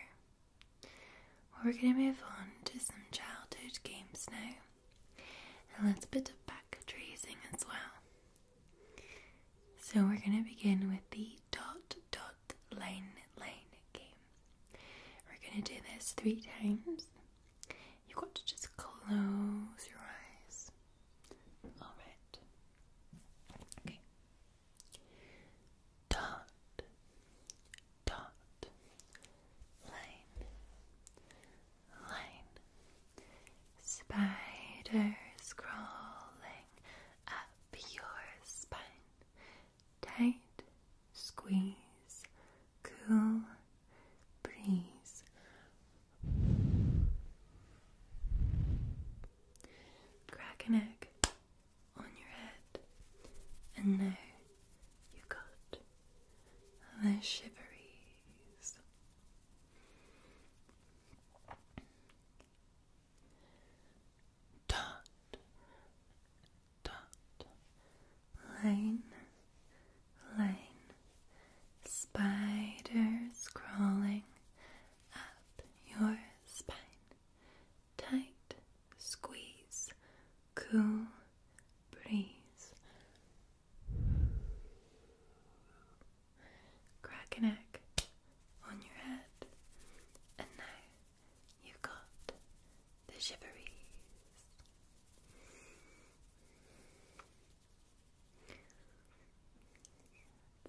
we're going to move on to some childhood games now. And a little bit of back tracing as well. So we're going to begin with the dot dot line line game. We're going to do this three times. You've got to just close your eyes. Alright. Okay. Dot. Dot. Line. Line. Spiders crawling up your spine. Tight. Squeeze. Cool breeze. Crack an egg on your head, and now you got the shiveries. Dot, dot, line line. Spiders crawling up your spine. Tight squeeze, cool breeze. Crack an egg on your head, and now you've got the shiveries.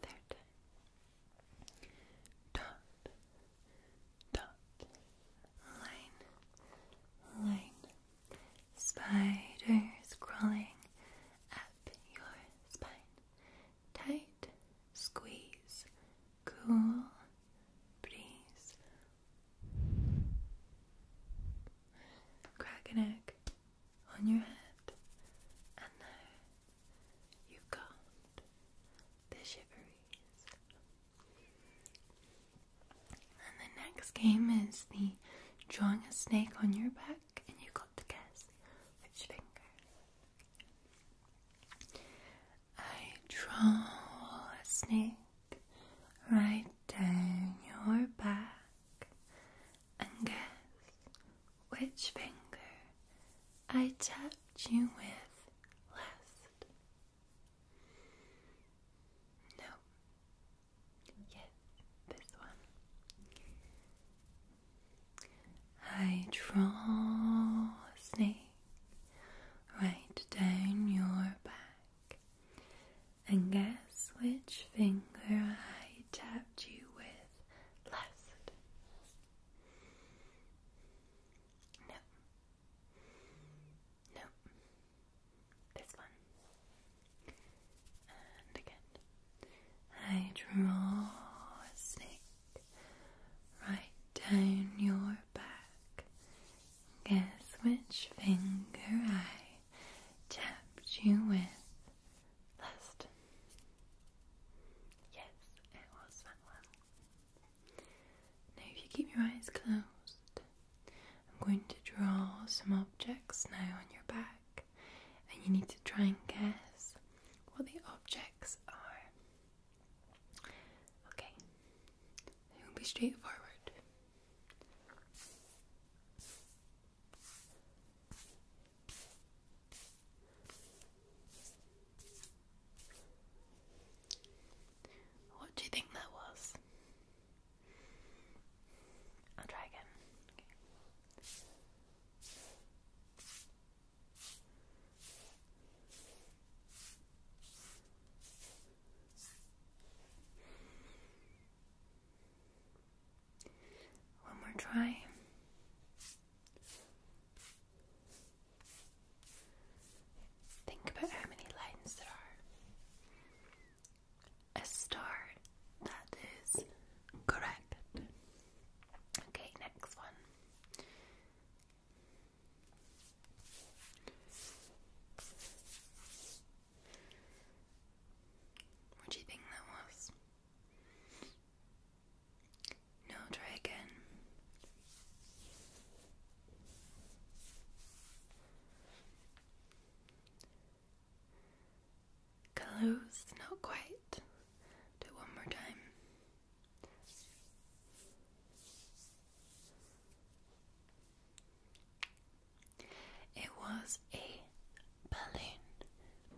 Dot, dot, line, line. Spiders crawling up your spine. Tight, squeeze, cool, breeze. Crack an egg on your head, and now you've got the shiveries. And the next game is the drawing a snake on your back, and you've got to guess which finger. I draw a snake right down your back and guess which finger I tapped you with last. No. Yes, this one. I draw a snake right down your back and guess which finger I tapped you with last? No. No. This one. And again. I draw a snake right down your back. Guess which finger I tapped you with last? Yes, it was that Now, if you keep your eyes closed, I'm going to draw some objects now on your back, and you need to try and guess what the objects are. Okay, it will be straightforward. What do you think that was? I'll try again. One more try. Think about how many lines there are. A star. That is correct. Okay, next one. What do you think that was? No, try Close, not quite. Do it one more time. It was a balloon,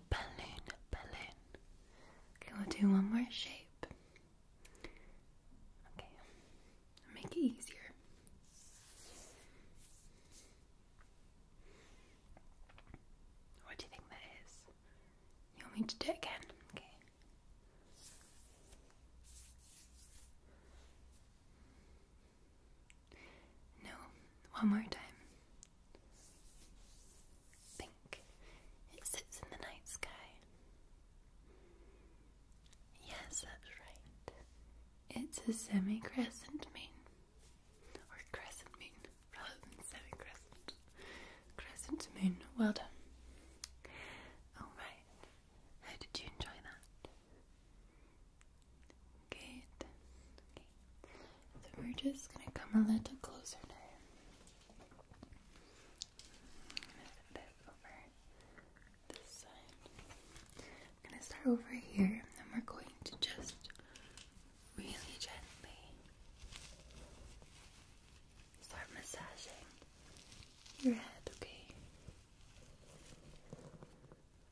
balloon, balloon. Okay, we'll do one more shape. Okay, make it easier. What do you think that is? You want me to do it again? Okay. No, one more time. Pink. It sits in the night sky. Yes, that's right. It's a semi crescent moon. Or crescent moon, rather than semi crescent. Crescent moon. Well done. Alright. How did you enjoy that? Okay. So we're just gonna come a little closer now. I'm gonna step gonna start over here, and we're going to just really gently start massaging your head. Okay.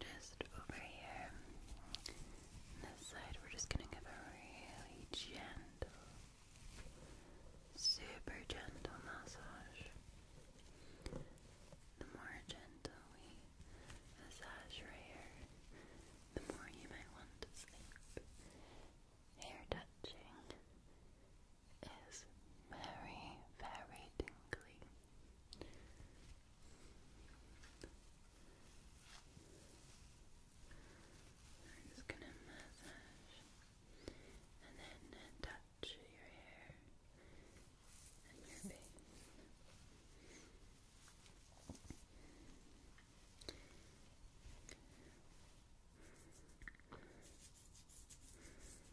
just over here. this side, we're just gonna give a really gentle, super gentle massage. The more gentle we massage your hair, the more you might want to sleep. Hair touching is very, very tingly. I'm just gonna massage and then touch your hair and your face.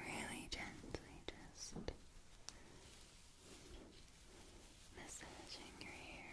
Really gently just massaging your hair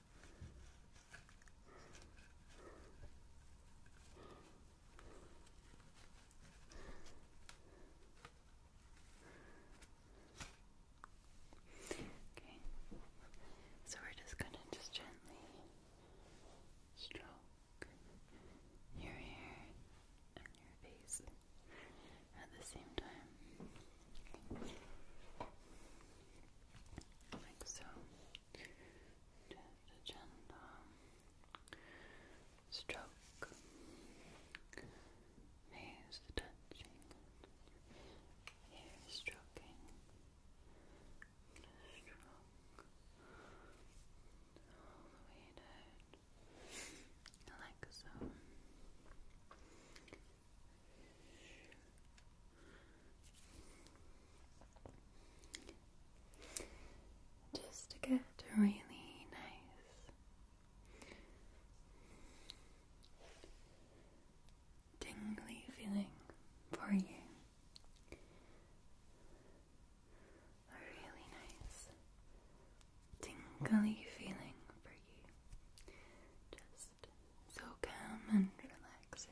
Okay, so we're just gonna just gently stroke your hair and your face at the same time like so. gentle stroke. Here's touching. Here's stroking. Stroke all the way down, like so. Just to get really nice, tingly feeling for you. A really nice, tingly feeling for you. Just so calm and relaxing.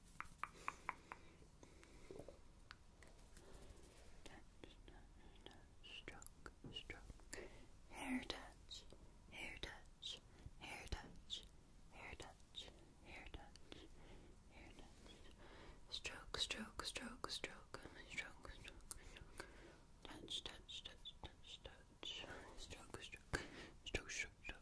Touch, touch, touch, stroke, stroke. Hair touch, hair touch, hair touch, hair touch, hair touch, hair touch. Stroke, stroke, stroke, stroke, stroke, stroke, stroke. Touch, touch, touch, touch, touch. Stroke, stroke, stroke, stroke, stroke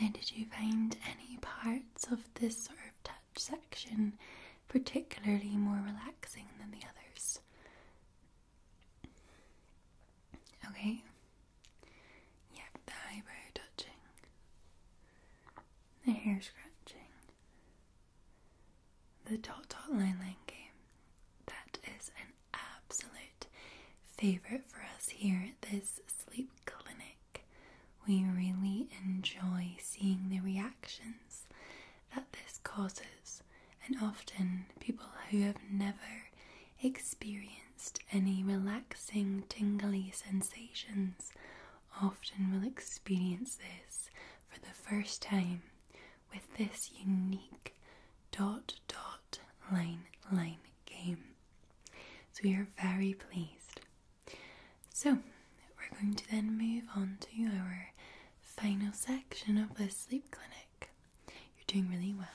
Now, did you find any parts of this sort of touch section particularly more relaxing than the others? Okay. Yep, the eyebrow touching, the hair scratching, the dot dot line line game. That is an absolute favorite for us here at this sleep clinic. We really enjoy seeing the reactions that this causes, and often people who have never experienced any relaxing, tingly sensations often will experience this for the first time with this unique dot dot line line game. So we are very pleased. So we're going to then move on to our final section of the sleep clinic. You're doing really well.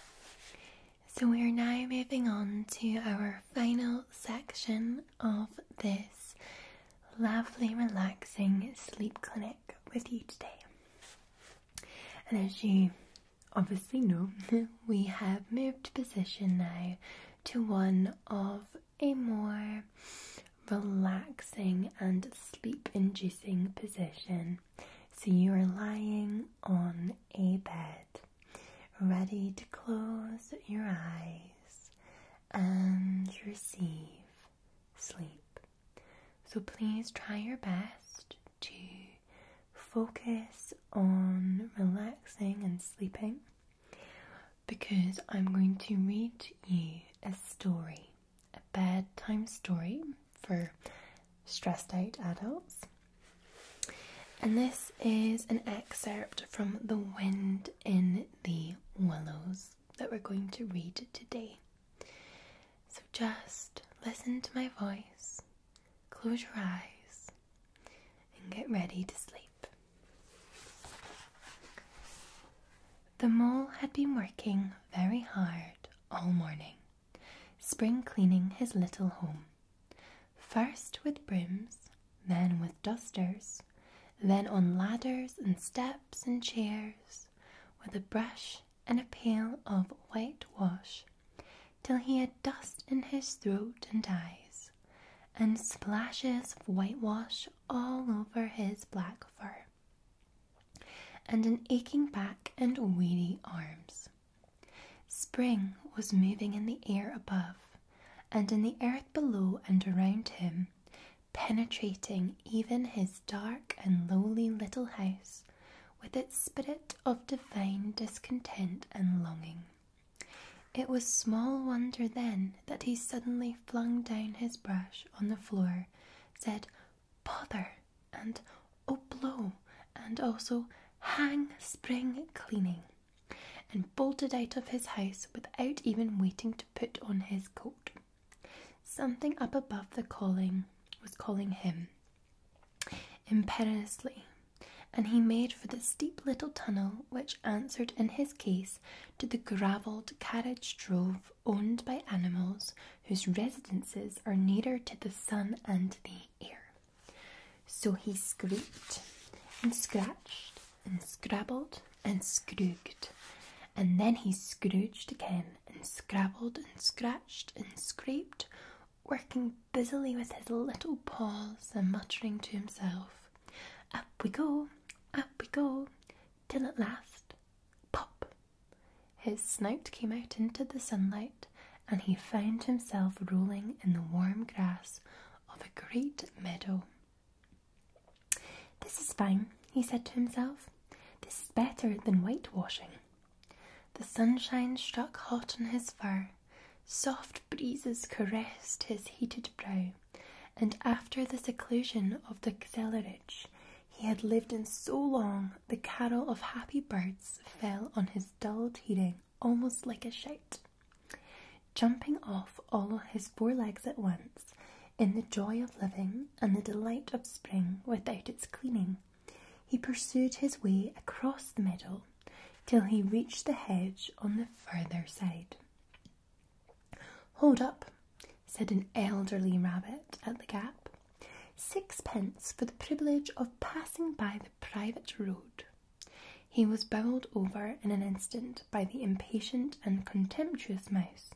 So we are now moving on to our final section of this lovely relaxing sleep clinic with you today. And as you obviously know, (laughs) we have moved position now to one of a more relaxing and sleep inducing position. So you are lying on a bed, ready to close your eyes and receive sleep. So please try your best to focus on relaxing and sleeping because I'm going to read you a story, a bedtime story for stressed out adults. And this is an excerpt from The Wind in the Willows that we're going to read today. So just listen to my voice, close your eyes, and get ready to sleep. The mole had been working very hard all morning, spring cleaning his little home. First with brooms, then with dusters, then on ladders and steps and chairs, with a brush and a pail of whitewash, till he had dust in his throat and eyes, and splashes of whitewash all over his black fur, and an aching back and weary arms. Spring was moving in the air above, and in the earth below and around him, penetrating even his dark and lowly little house with its spirit of divine discontent and longing. It was small wonder then that he suddenly flung down his brush on the floor, said, Bother! and Oh, blow! and also Hang spring cleaning, and bolted out of his house without even waiting to put on his coat. Something up above the calling was calling him, imperiously, and he made for the steep little tunnel which answered in his case to the gravelled carriage drove owned by animals whose residences are nearer to the sun and the air. So he scraped and scratched and scrabbled and scrooged, and then he scrooged again and scrabbled and scratched and scraped, working busily with his little paws and muttering to himself, Up we go, up we go, till at last, pop! His snout came out into the sunlight, and he found himself rolling in the warm grass of a great meadow. This is fine, he said to himself. This is better than whitewashing. The sunshine struck hot on his fur, soft breezes caressed his heated brow, and after the seclusion of the cellarage he had lived in so long, the carol of happy birds fell on his dull hearing almost like a shout. Jumping off all his four legs at once, in the joy of living and the delight of spring without its cleaning, he pursued his way across the meadow till he reached the hedge on the further side. Hold up, said an elderly rabbit at the gap. Sixpence for the privilege of passing by the private road. He was bowled over in an instant by the impatient and contemptuous mouse,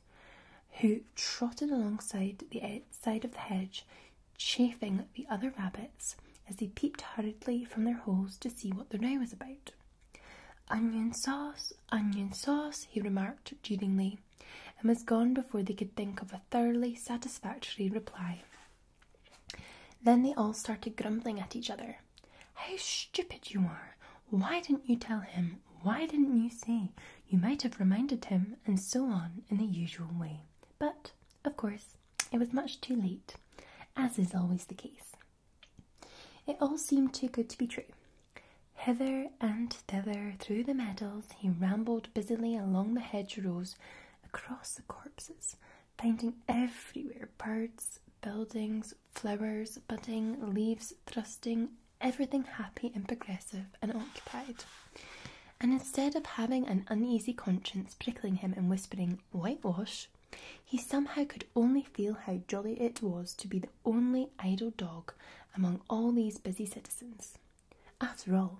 who trotted alongside the side of the hedge chaffing the other rabbits as they peeped hurriedly from their holes to see what the row was about. Onion sauce, onion sauce, he remarked jeeringly, and was gone before they could think of a thoroughly satisfactory reply. Then they all started grumbling at each other. How stupid you are! Why didn't you tell him? Why didn't you say? You might have reminded him, and so on in the usual way. But, of course, it was much too late, as is always the case. It all seemed too good to be true. Hither and thither through the meadows he rambled busily along the hedgerows, across the corpses, finding everywhere birds, buildings, flowers, budding, leaves thrusting, everything happy and progressive and occupied and instead of having an uneasy conscience prickling him and whispering whitewash, he somehow could only feel how jolly it was to be the only idle dog among all these busy citizens. After all,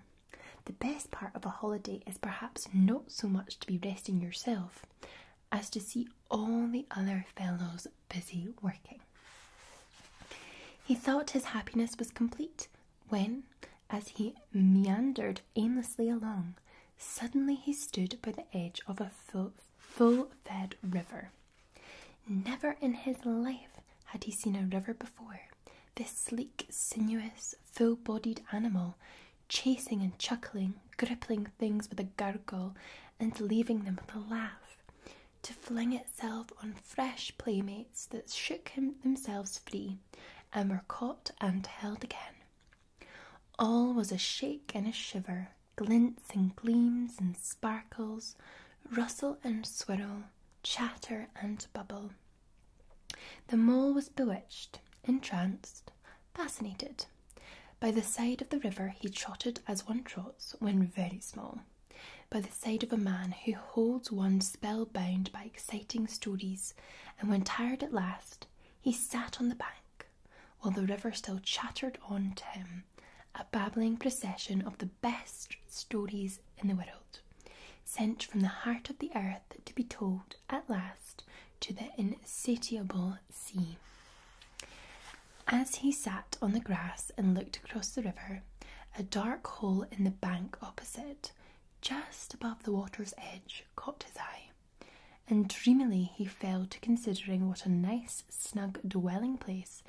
the best part of a holiday is perhaps not so much to be resting yourself as to see all the other fellows busy working. He thought his happiness was complete when, as he meandered aimlessly along, suddenly he stood by the edge of a full, fed river. Never in his life had he seen a river before. This sleek, sinuous, full bodied animal, chasing and chuckling, gripping things with a gurgle, and leaving them with a laugh, to fling itself on fresh playmates that shook themselves free me, and were caught and held again. All was a shake and a shiver, glints and gleams and sparkles, rustle and swirl, chatter and bubble. The mole was bewitched, entranced, fascinated. By the side of the river he trotted as one trots when very small, by the side of a man who holds one spell bound by exciting stories, and when tired at last, he sat on the bank while the river still chattered on to him, a babbling procession of the best stories in the world, sent from the heart of the earth to be told at last to the insatiable sea. As he sat on the grass and looked across the river, a dark hole in the bank opposite just above the water's edge, caught his eye, and dreamily he fell to considering what a nice, snug dwelling place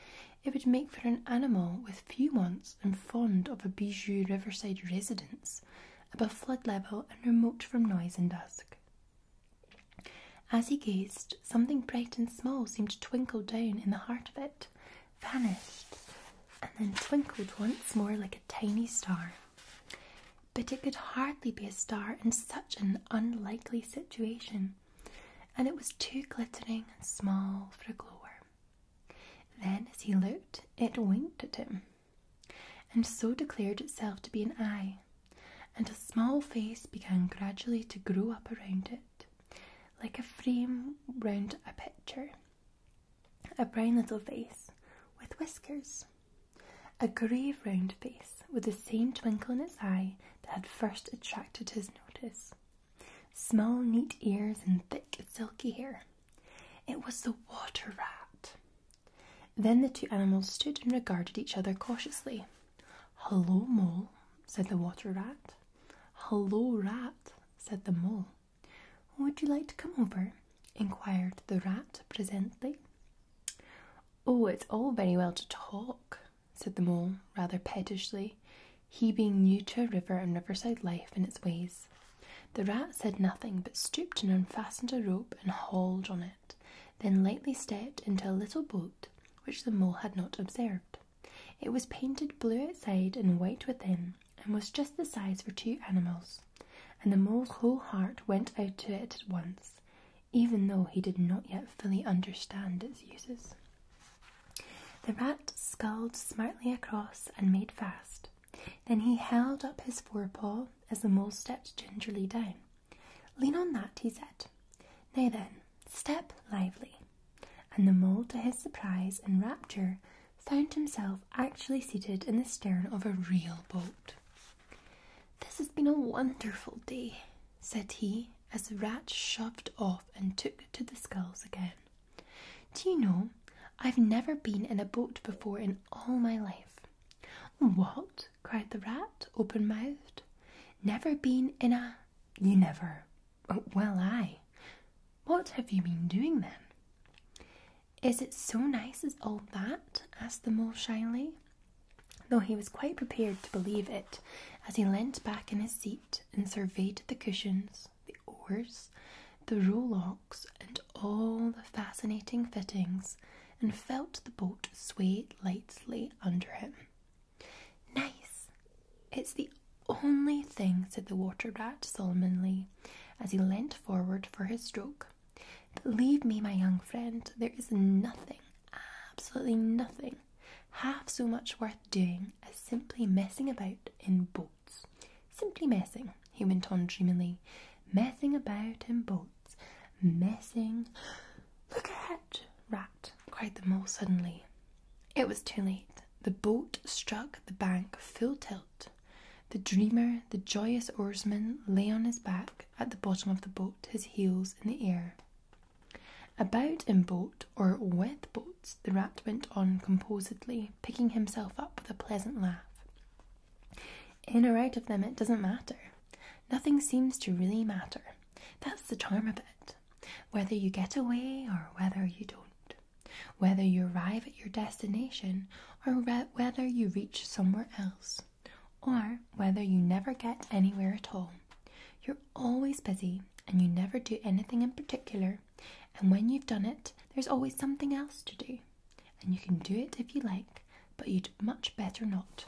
it would make for an animal with few wants and fond of a bijou riverside residence above flood level and remote from noise and dusk. As he gazed, something bright and small seemed to twinkle down in the heart of it, vanished and then twinkled once more like a tiny star. But it could hardly be a star in such an unlikely situation, and it was too glittering and small for a glowworm. Then, as he looked, it winked at him, and so declared itself to be an eye, and a small face began gradually to grow up around it, like a frame round a picture a brown little face with whiskers, a grave round face with the same twinkle in his eye that had first attracted his notice, small, neat ears, and thick, silky hair. It was the water rat. Then the two animals stood and regarded each other cautiously. Hello, mole, said the water rat. Hello, rat, said the mole. Would you like to come over? inquired the rat presently. Oh, it's all very well to talk, said the mole rather pettishly, he being new to river and riverside life and its ways. The rat said nothing but stooped and unfastened a rope and hauled on it, then lightly stepped into a little boat which the mole had not observed. It was painted blue outside and white within, and was just the size for two animals, and the mole's whole heart went out to it at once, even though he did not yet fully understand its uses. The rat sculled smartly across and made fast. Then he held up his fore paw as the mole stepped gingerly down. Lean on that, he said. Nay, then, step lively. And the mole, to his surprise and rapture, found himself actually seated in the stern of a real boat. This has been a wonderful day, said he, as the rat shoved off and took to the sculls again. Do you know, I've never been in a boat before in all my life. What? cried the rat, open mouthed. Never been in a. You never. Well, I. What have you been doing then? Is it so nice as all that? asked the mole shyly, though he was quite prepared to believe it as he leant back in his seat and surveyed the cushions, the oars, the rowlocks, and all the fascinating fittings, and felt the boat sway lightly under him. Nice! It's the only thing, said the water rat solemnly as he leant forward for his stroke. believe me, my young friend. There is nothing, absolutely nothing, half so much worth doing as simply messing about in boats. Simply messing, he went on dreamily. Messing about in boats. Messing. Look at it, rat, cried the mole suddenly. It was too late. The boat struck the bank full tilt. The dreamer, the joyous oarsman, lay on his back at the bottom of the boat, his heels in the air. About in boat or with boats, the rat went on composedly, picking himself up with a pleasant laugh. In or out of them, it doesn't matter. Nothing seems to really matter. That's the charm of it, whether you get away or whether you don't whether you arrive at your destination or whether you reach somewhere else, or whether you never get anywhere at all. You're always busy and you never do anything in particular, and when you've done it, there's always something else to do. And you can do it if you like, but you'd much better not.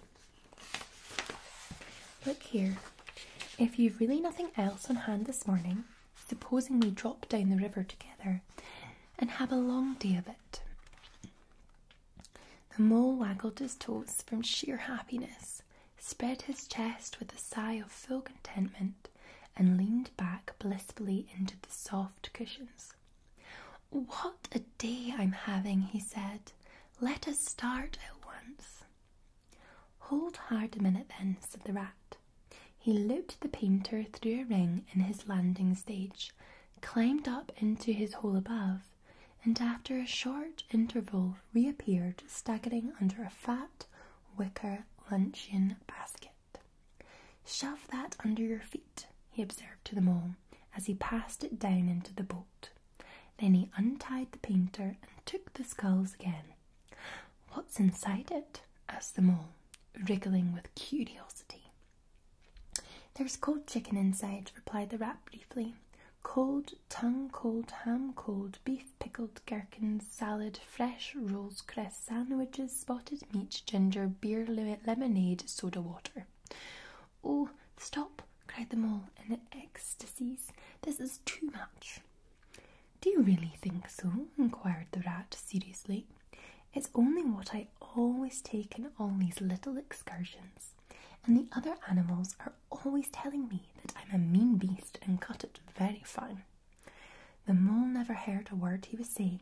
Look here. If you've really nothing else on hand this morning, Supposing we drop down the river together and have a long day of it. The mole waggled his toes from sheer happiness, spread his chest with a sigh of full contentment, and leaned back blissfully into the soft cushions. What a day I'm having, he said. Let us start at once. Hold hard a minute then, said the rat. He looped the painter through a ring in his landing stage, climbed up into his hole above, and after a short interval reappeared staggering under a fat wicker luncheon basket. Shove that under your feet, he observed to them all as he passed it down into the boat. Then he untied the painter and took the skulls again. What's inside it? asked them all wriggling with curiosity. There's cold chicken inside, replied the rat briefly. Cold, tongue cold, ham cold, beef pickled, gherkins, salad, fresh rolls, cress sandwiches, spotted meat, ginger, beer, lemonade, soda water. Oh, stop, cried the mole in ecstasies. This is too much. Do you really think so? inquired the rat seriously. It's only what I always take on all these little excursions, and the other animals are always telling me that I'm a mean beast and cut it very fine. The mole never heard a word he was saying,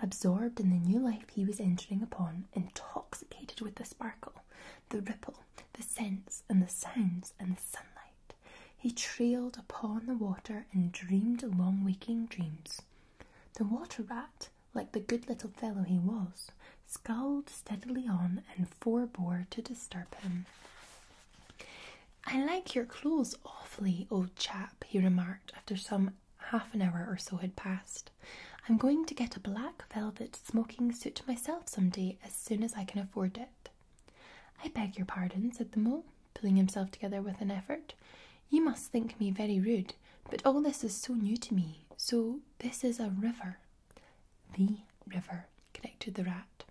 absorbed in the new life he was entering upon, intoxicated with the sparkle, the ripple, the scents, and the sounds, and the sunlight. He trailed upon the water and dreamed long waking dreams. The water rat, like the good little fellow he was, scowled steadily on and forbore to disturb him. I like your clothes awfully, old chap, he remarked after some half an hour or so had passed. I'm going to get a black velvet smoking suit myself some day as soon as I can afford it. I beg your pardon, said the mole pulling himself together with an effort. You must think me very rude, but all this is so new to me. So, this is a river. The river, corrected the rat.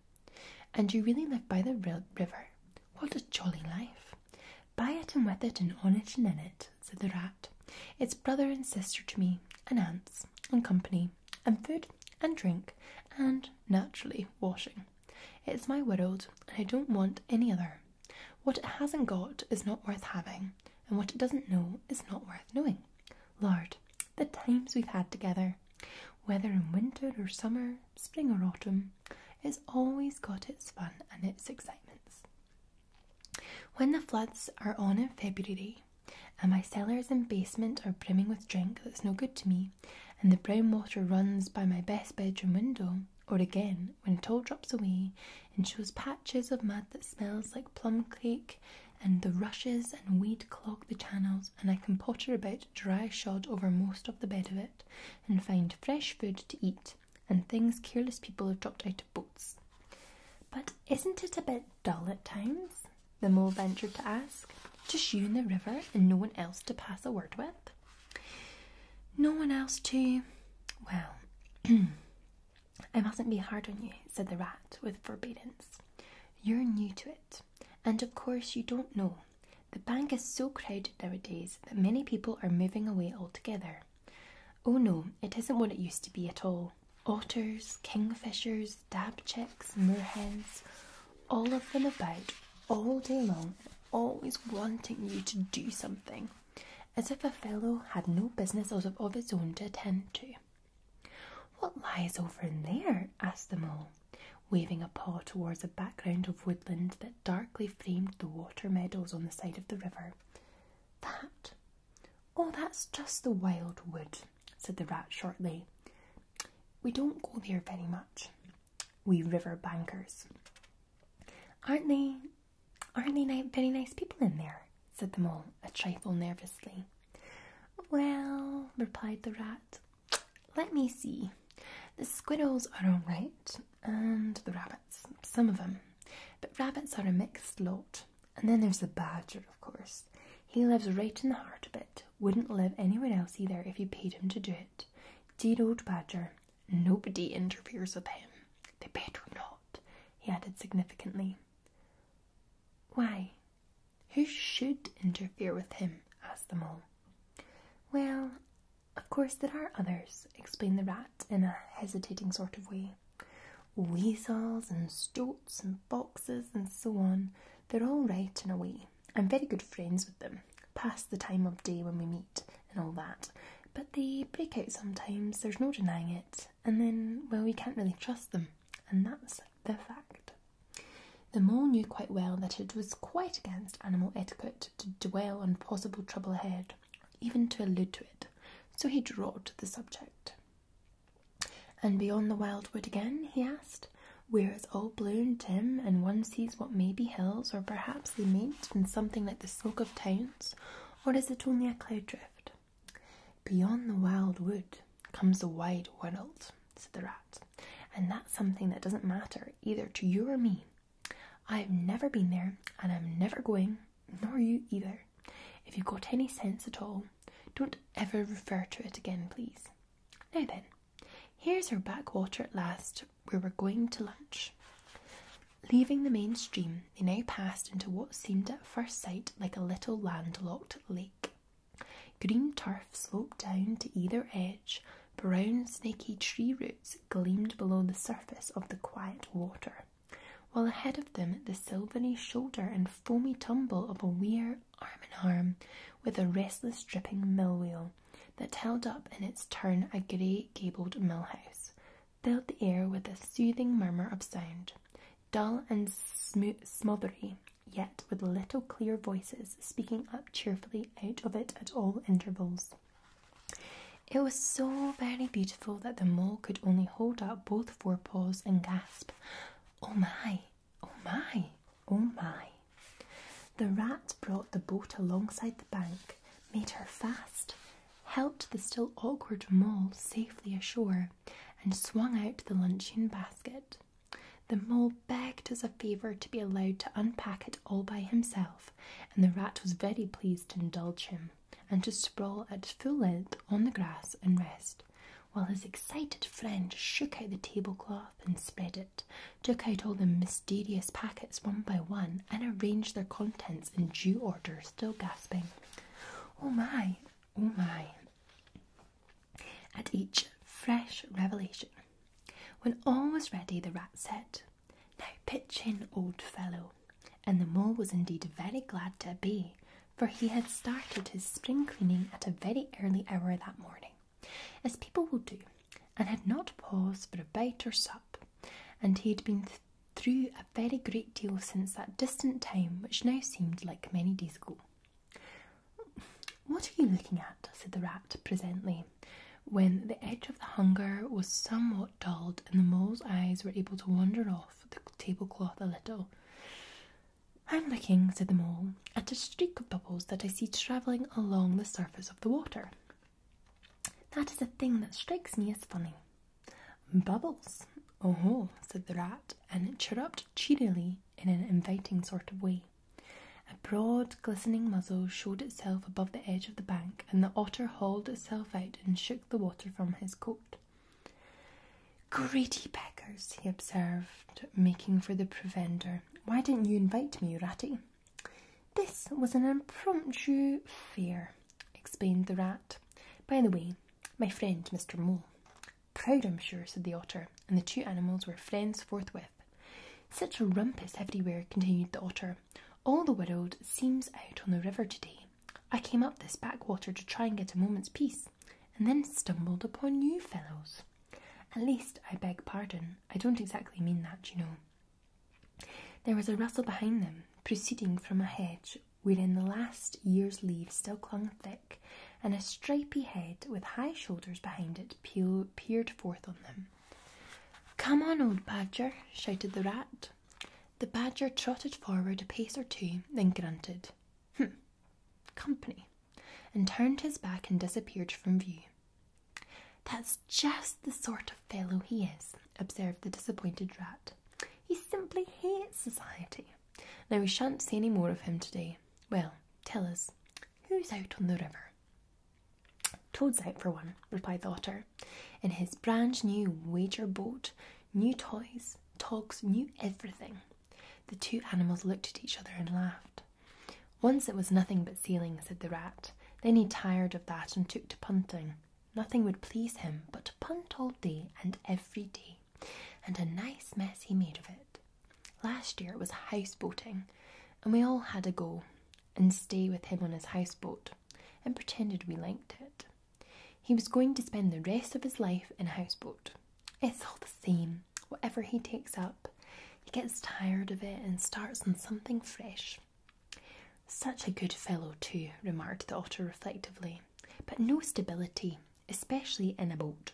And you really live by the river. What a jolly life. By it and with it and on it and in it, said the rat. It's brother and sister to me, and aunts, and company, and food, and drink, and naturally washing. It's my world, and I don't want any other. What it hasn't got is not worth having, and what it doesn't know is not worth knowing. Lord, the times we've had together, whether in winter or summer, spring or autumn, it's always got its fun and its excitements. When the floods are on in February, and my cellars and basement are brimming with drink that's no good to me, and the brown water runs by my best bedroom window, or again when it all drops away and shows patches of mud that smells like plum cake and the rushes and weed clog the channels and I can potter about dry shod over most of the bed of it and find fresh food to eat and things careless people have dropped out of boats. But isn't it a bit dull at times? The mole ventured to ask. Just you in the river and no one else to pass a word with? No one else to. Well, (clears throat) I mustn't be hard on you, said the rat with forbearance. You're new to it, and of course you don't know. The bank is so crowded nowadays that many people are moving away altogether. Oh no, it isn't what it used to be at all. Otters, kingfishers, dabchicks, moorhens, all of them about all day long always wanting you to do something, as if a fellow had no business of his own to attend to. What lies over in there? asked the mole, waving a paw towards a background of woodland that darkly framed the water meadows on the side of the river. That? Oh, that's just the wild wood, said the rat shortly. We don't go there very much we river bankers. Aren't they, aren't they ni very nice people in there? said the mole, a trifle nervously. Well, replied the rat, let me see. The squiddles are all right, and the rabbits, some of them. But rabbits are a mixed lot. And then there's the badger, of course. He lives right in the heart of it. Wouldn't live anywhere else either if you paid him to do it. Dear old badger, Nobody interferes with him. They better not, he added significantly. Why? Who should interfere with him? asked the mole. Well, of course there are others, explained the rat in a hesitating sort of way. Weasels and stoats and foxes and so on, they're all right in a way. I'm very good friends with them past the time of day when we meet and all that. But they break out sometimes, there's no denying it, and then, well, we can't really trust them, and that's the fact. The mole knew quite well that it was quite against animal etiquette to dwell on possible trouble ahead, even to allude to it, so he dropped the subject. And beyond the wild wood again, he asked, where it's all blue and dim, and one sees what may be hills or perhaps they meant in something like the smoke of towns, or is it only a cloud drift? Beyond the wild wood comes the wide world, said the rat, and that's something that doesn't matter either to you or me. I have never been there, and I'm never going, nor you either. If you've got any sense at all, don't ever refer to it again, please. Now then, here's our backwater at last, we were going to lunch. Leaving the main stream, they now passed into what seemed at first sight like a little landlocked lake. Green turf sloped down to either edge, brown snaky tree roots gleamed below the surface of the quiet water, while ahead of them the silvery shoulder and foamy tumble of a weir arm in arm with a restless dripping mill wheel that held up in its turn a grey gabled mill house, filled the air with a soothing murmur of sound, dull and sm smothery, yet with little clear voices speaking up cheerfully out of it at all intervals. It was so very beautiful that the mole could only hold up both forepaws and gasp, Oh my, oh my, oh my. The rat brought the boat alongside the bank made her fast, helped the still awkward mole safely ashore, and swung out the luncheon basket. The mole begged as a favour to be allowed to unpack it all by himself, and the rat was very pleased to indulge him and to sprawl at full length on the grass and rest, while his excited friend shook out the tablecloth and spread it, took out all the mysterious packets one by one, and arranged their contents in due order, still gasping. Oh my, oh my. At each fresh revelation. When all was ready, the rat said, Now pitch in, old fellow. And the mole was indeed very glad to obey, for he had started his spring cleaning at a very early hour that morning, as people will do, and had not paused for a bite or sup and he had been through a very great deal since that distant time which now seemed like many days ago. What are you looking at? said the rat presently, when the edge of the hunger was somewhat dulled and the mole's eyes were able to wander off the tablecloth a little. I'm looking, said the mole, at a streak of bubbles that I see travelling along the surface of the water. That is a thing that strikes me as funny. Bubbles, oh, ho," said the rat, and it chirruped cheerily in an inviting sort of way. A broad, glistening muzzle showed itself above the edge of the bank, and the otter hauled itself out and shook the water from his coat. Greedy beggars, he observed, making for the provender. Why didn't you invite me, ratty? This was an impromptu fair, explained the rat. By the way, my friend Mr. Mole. Proud, I'm sure, said the otter, and the two animals were friends forthwith. Such a rumpus everywhere, continued the otter. All the world seems out on the river today. I came up this backwater to try and get a moment's peace, and then stumbled upon you fellows. At least, I beg pardon, I don't exactly mean that, you know. There was a rustle behind them, proceeding from a hedge wherein the last year's leaves still clung thick, and a stripy head with high shoulders behind it peered forth on them. Come on, old badger, shouted the rat. The badger trotted forward a pace or two, then grunted, Hm, company, and turned his back and disappeared from view. That's just the sort of fellow he is, observed the disappointed rat. He simply hates society. Now we shan't see any more of him today. Well, tell us, who's out on the river? Toad's out for one, replied the otter, in his brand new wager boat, new toys, togs, new everything. The two animals looked at each other and laughed. Once it was nothing but sailing, said the rat. Then he tired of that and took to punting. Nothing would please him but to punt all day and every day, and a nice mess he made of it. Last year it was houseboating, and we all had a go and stay with him on his houseboat and pretended we liked it. He was going to spend the rest of his life in a houseboat. It's all the same, whatever he takes up. He gets tired of it and starts on something fresh. Such a good fellow, too, remarked the otter reflectively, but no stability, especially in a boat.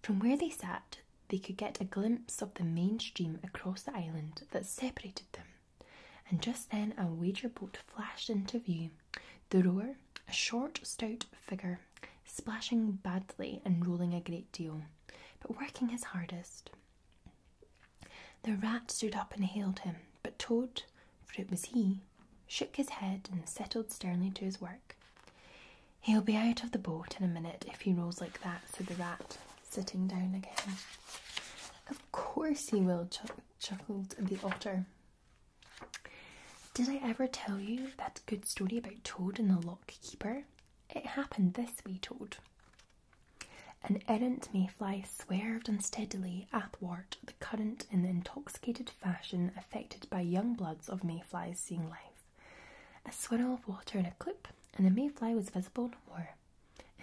From where they sat, they could get a glimpse of the main stream across the island that separated them, and just then a wager boat flashed into view. The rower, a short, stout figure, splashing badly and rolling a great deal, but working his hardest. The rat stood up and hailed him, but Toad, for it was he, shook his head and settled sternly to his work. He'll be out of the boat in a minute if he rolls like that, said the rat, sitting down again. Of course he will, chuckled the otter. Did I ever tell you that good story about Toad and the lock keeper? It happened this way, Toad. An errant mayfly swerved unsteadily athwart the current in the intoxicated fashion affected by young bloods of mayflies seeing life. A swirl of water and a clip, and the mayfly was visible no more.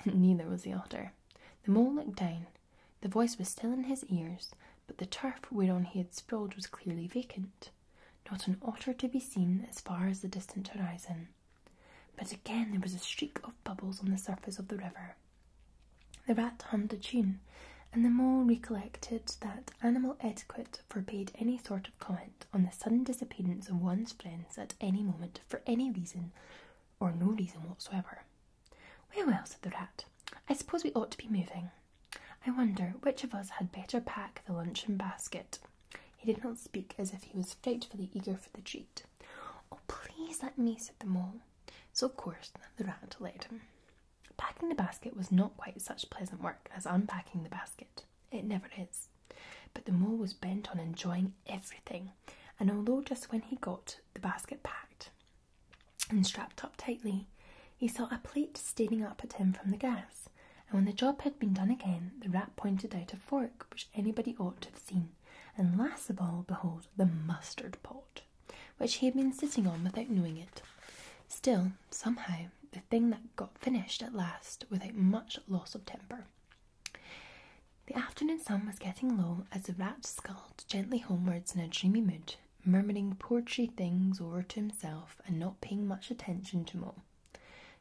(laughs) Neither was the otter. The mole looked down. The voice was still in his ears, but the turf whereon he had sprawled was clearly vacant. Not an otter to be seen as far as the distant horizon. But again there was a streak of bubbles on the surface of the river. The rat hummed a tune, and the mole recollected that animal etiquette forbade any sort of comment on the sudden disappearance of one's friends at any moment for any reason or no reason whatsoever. Well, well, said the rat, I suppose we ought to be moving. I wonder which of us had better pack the luncheon basket. He did not speak as if he was frightfully eager for the treat. Oh, please let me, sit the mole. So, of course, the rat led him. Packing the basket was not quite such pleasant work as unpacking the basket. It never is. But the mole was bent on enjoying everything, and although just when he got the basket packed and strapped up tightly, he saw a plate staring up at him from the gas, and when the job had been done again, the rat pointed out a fork which anybody ought to have seen and last of all, behold, the mustard pot, which he had been sitting on without knowing it. Still, somehow, the thing that got finished at last without much loss of temper. The afternoon sun was getting low as the rat sculled gently homewards in a dreamy mood, murmuring poetry things over to himself and not paying much attention to Mole.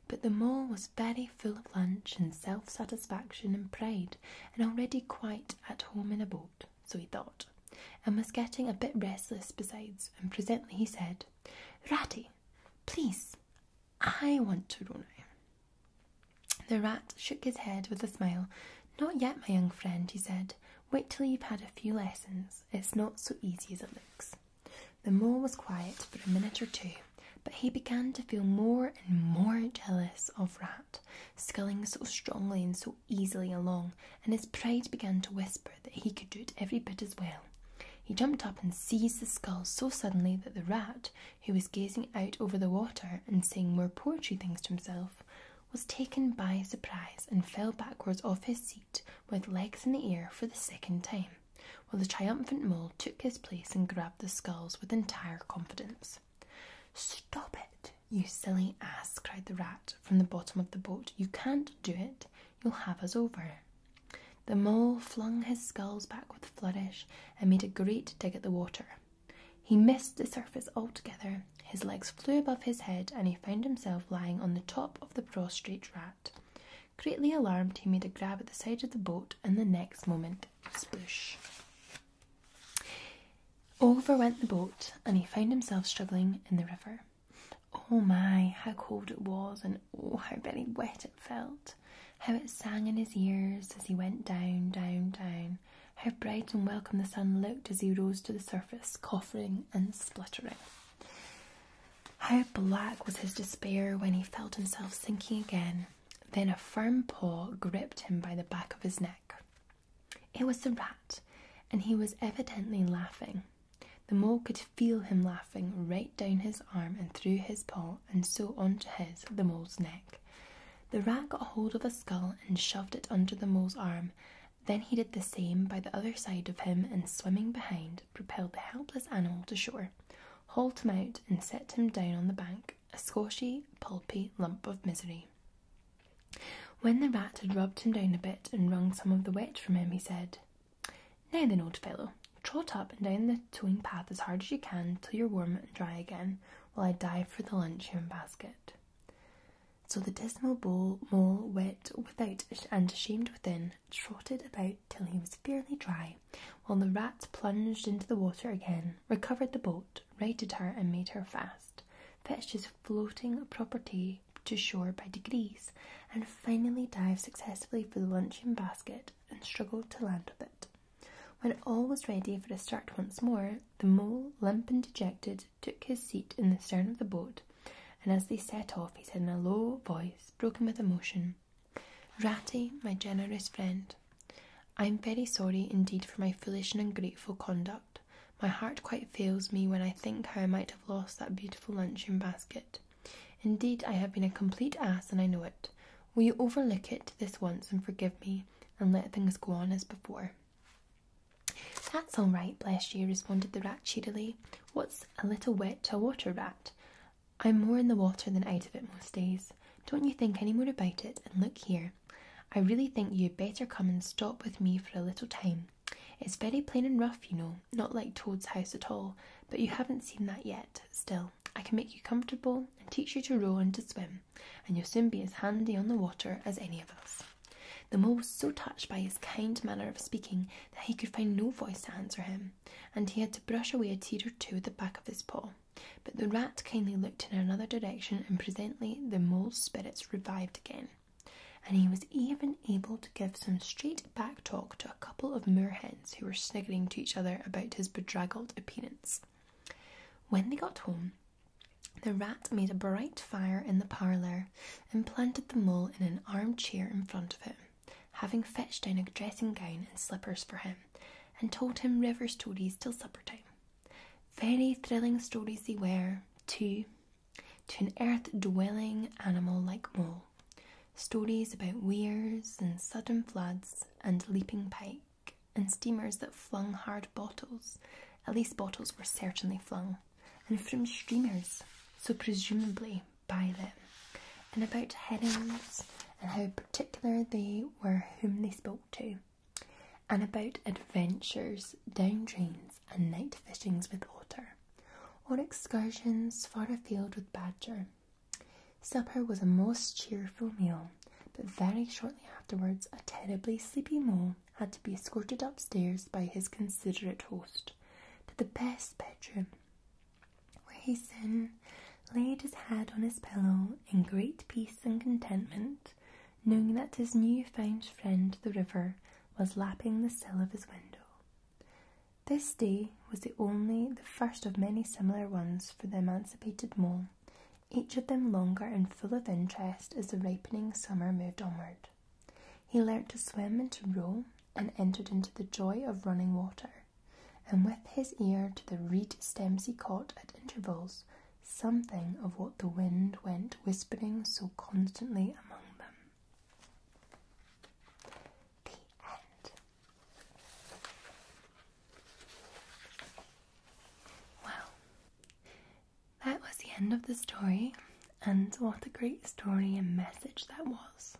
But the mole was very full of lunch and self satisfaction and pride, and already quite at home in a boat, so he thought, and was getting a bit restless besides, and presently he said, Ratty, please, I want to row now. The rat shook his head with a smile. Not yet, my young friend, he said. Wait till you've had a few lessons. It's not so easy as it looks. The mole was quiet for a minute or two, but he began to feel more and more jealous of Rat that, sculling so strongly and so easily along, and his pride began to whisper that he could do it every bit as well. He jumped up and seized the scull so suddenly that the rat, who was gazing out over the water and saying more poetry things to himself, was taken by surprise and fell backwards off his seat with legs in the air for the second time, while the triumphant mole took his place and grabbed the skulls with entire confidence. Stop it, you silly ass, cried the rat from the bottom of the boat. You can't do it. You'll have us over. The mole flung his sculls back with a flourish and made a great dig at the water. He missed the surface altogether. His legs flew above his head, and he found himself lying on the top of the prostrate rat. Greatly alarmed, he made a grab at the side of the boat, and the next moment, sploosh! Over went the boat, and he found himself struggling in the river. Oh my, how cold it was, and oh, how very wet it felt. How it sang in his ears as he went down, down, down. How bright and welcome the sun looked as he rose to the surface, coughing and spluttering. How black was his despair when he felt himself sinking again, then a firm paw gripped him by the back of his neck. It was the rat, and he was evidently laughing. The mole could feel him laughing right down his arm and through his paw, and so on to his, the mole's neck. The rat got hold of a skull and shoved it under the mole's arm. Then he did the same by the other side of him and, swimming behind, propelled the helpless animal to shore, hauled him out, and set him down on the bank a squashy, pulpy lump of misery. When the rat had rubbed him down a bit and wrung some of the wet from him, he said, Now then, old fellow, trot up and down the towing path as hard as you can till you're warm and dry again, while I dive for the luncheon basket. So the dismal bowl, mole, wet without and ashamed within, trotted about till he was fairly dry, while the rat plunged into the water again, recovered the boat, boat, her, and made her fast. fetched his floating property to shore by degrees, and finally dived successfully for the luncheon basket and struggled to land with it. When all was ready for a start once more, the mole, limp and dejected, took his seat in the stern of the boat, and as they set off, he said in a low voice, broken with emotion, Ratty, my generous friend, I am very sorry indeed for my foolish and ungrateful conduct. My heart quite fails me when I think how I might have lost that beautiful luncheon basket. Indeed, I have been a complete ass, and I know it. Will you overlook it this once and forgive me, and let things go on as before? That's all right, bless you, responded the rat cheerily. What's a little wet to a water rat? I'm more in the water than out of it most days. Don't you think any more about it, and look here, I really think you'd better come and stop with me for a little time. It's very plain and rough, you know, not like Toad's house at all, but you haven't seen that yet. Still, I can make you comfortable and teach you to row and to swim, and you'll soon be as handy on the water as any of us. The mole was so touched by his kind manner of speaking that he could find no voice to answer him, and he had to brush away a tear or two at the back of his paw. But the rat kindly looked in another direction, and presently the mole's spirits revived again, and he was even able to give some straight back talk to a couple of moorhens who were sniggering to each other about his bedraggled appearance. When they got home, the rat made a bright fire in the parlour and planted the mole in an armchair in front of him, having fetched down a dressing gown and slippers for him, and told him river stories till supper time. Very thrilling stories they were, too, to an earth dwelling animal like Mole. Stories about weirs and sudden floods and leaping pike and steamers that flung hard bottles. At least bottles were certainly flung, and from streamers, so presumably by them, and about herrings and how particular they were whom they spoke to, and about adventures, down drains, and night fishings with otter, or excursions far afield with badger. Supper was a most cheerful meal, but very shortly afterwards a terribly sleepy mole had to be escorted upstairs by his considerate host to the best bedroom, where he soon laid his head on his pillow in great peace and contentment, knowing that his new-found friend, the river, was lapping the sill of his window. This day was the only, the first of many similar ones for the emancipated mole, each of them longer and full of interest as the ripening summer moved onward. He learnt to swim and to row, and entered into the joy of running water, and with his ear to the reed stems he caught at intervals something of what the wind went whispering so constantly among them. The end. Well, that was the end of the story, and what a great story and message that was.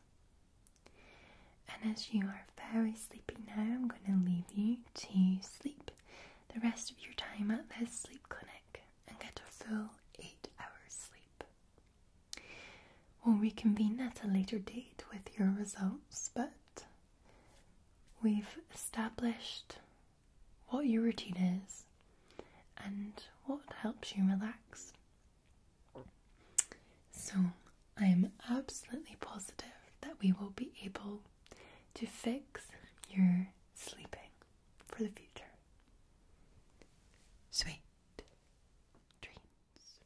And as you are very sleepy now, I'm going to leave you to sleep the rest of your time at this sleep clinic and get a full eight hours sleep. We'll reconvene at a later date with your results, but we've established what your routine is and what helps you relax. So, I am absolutely positive that we will be able to fix your sleeping for the future. Sweet dreams.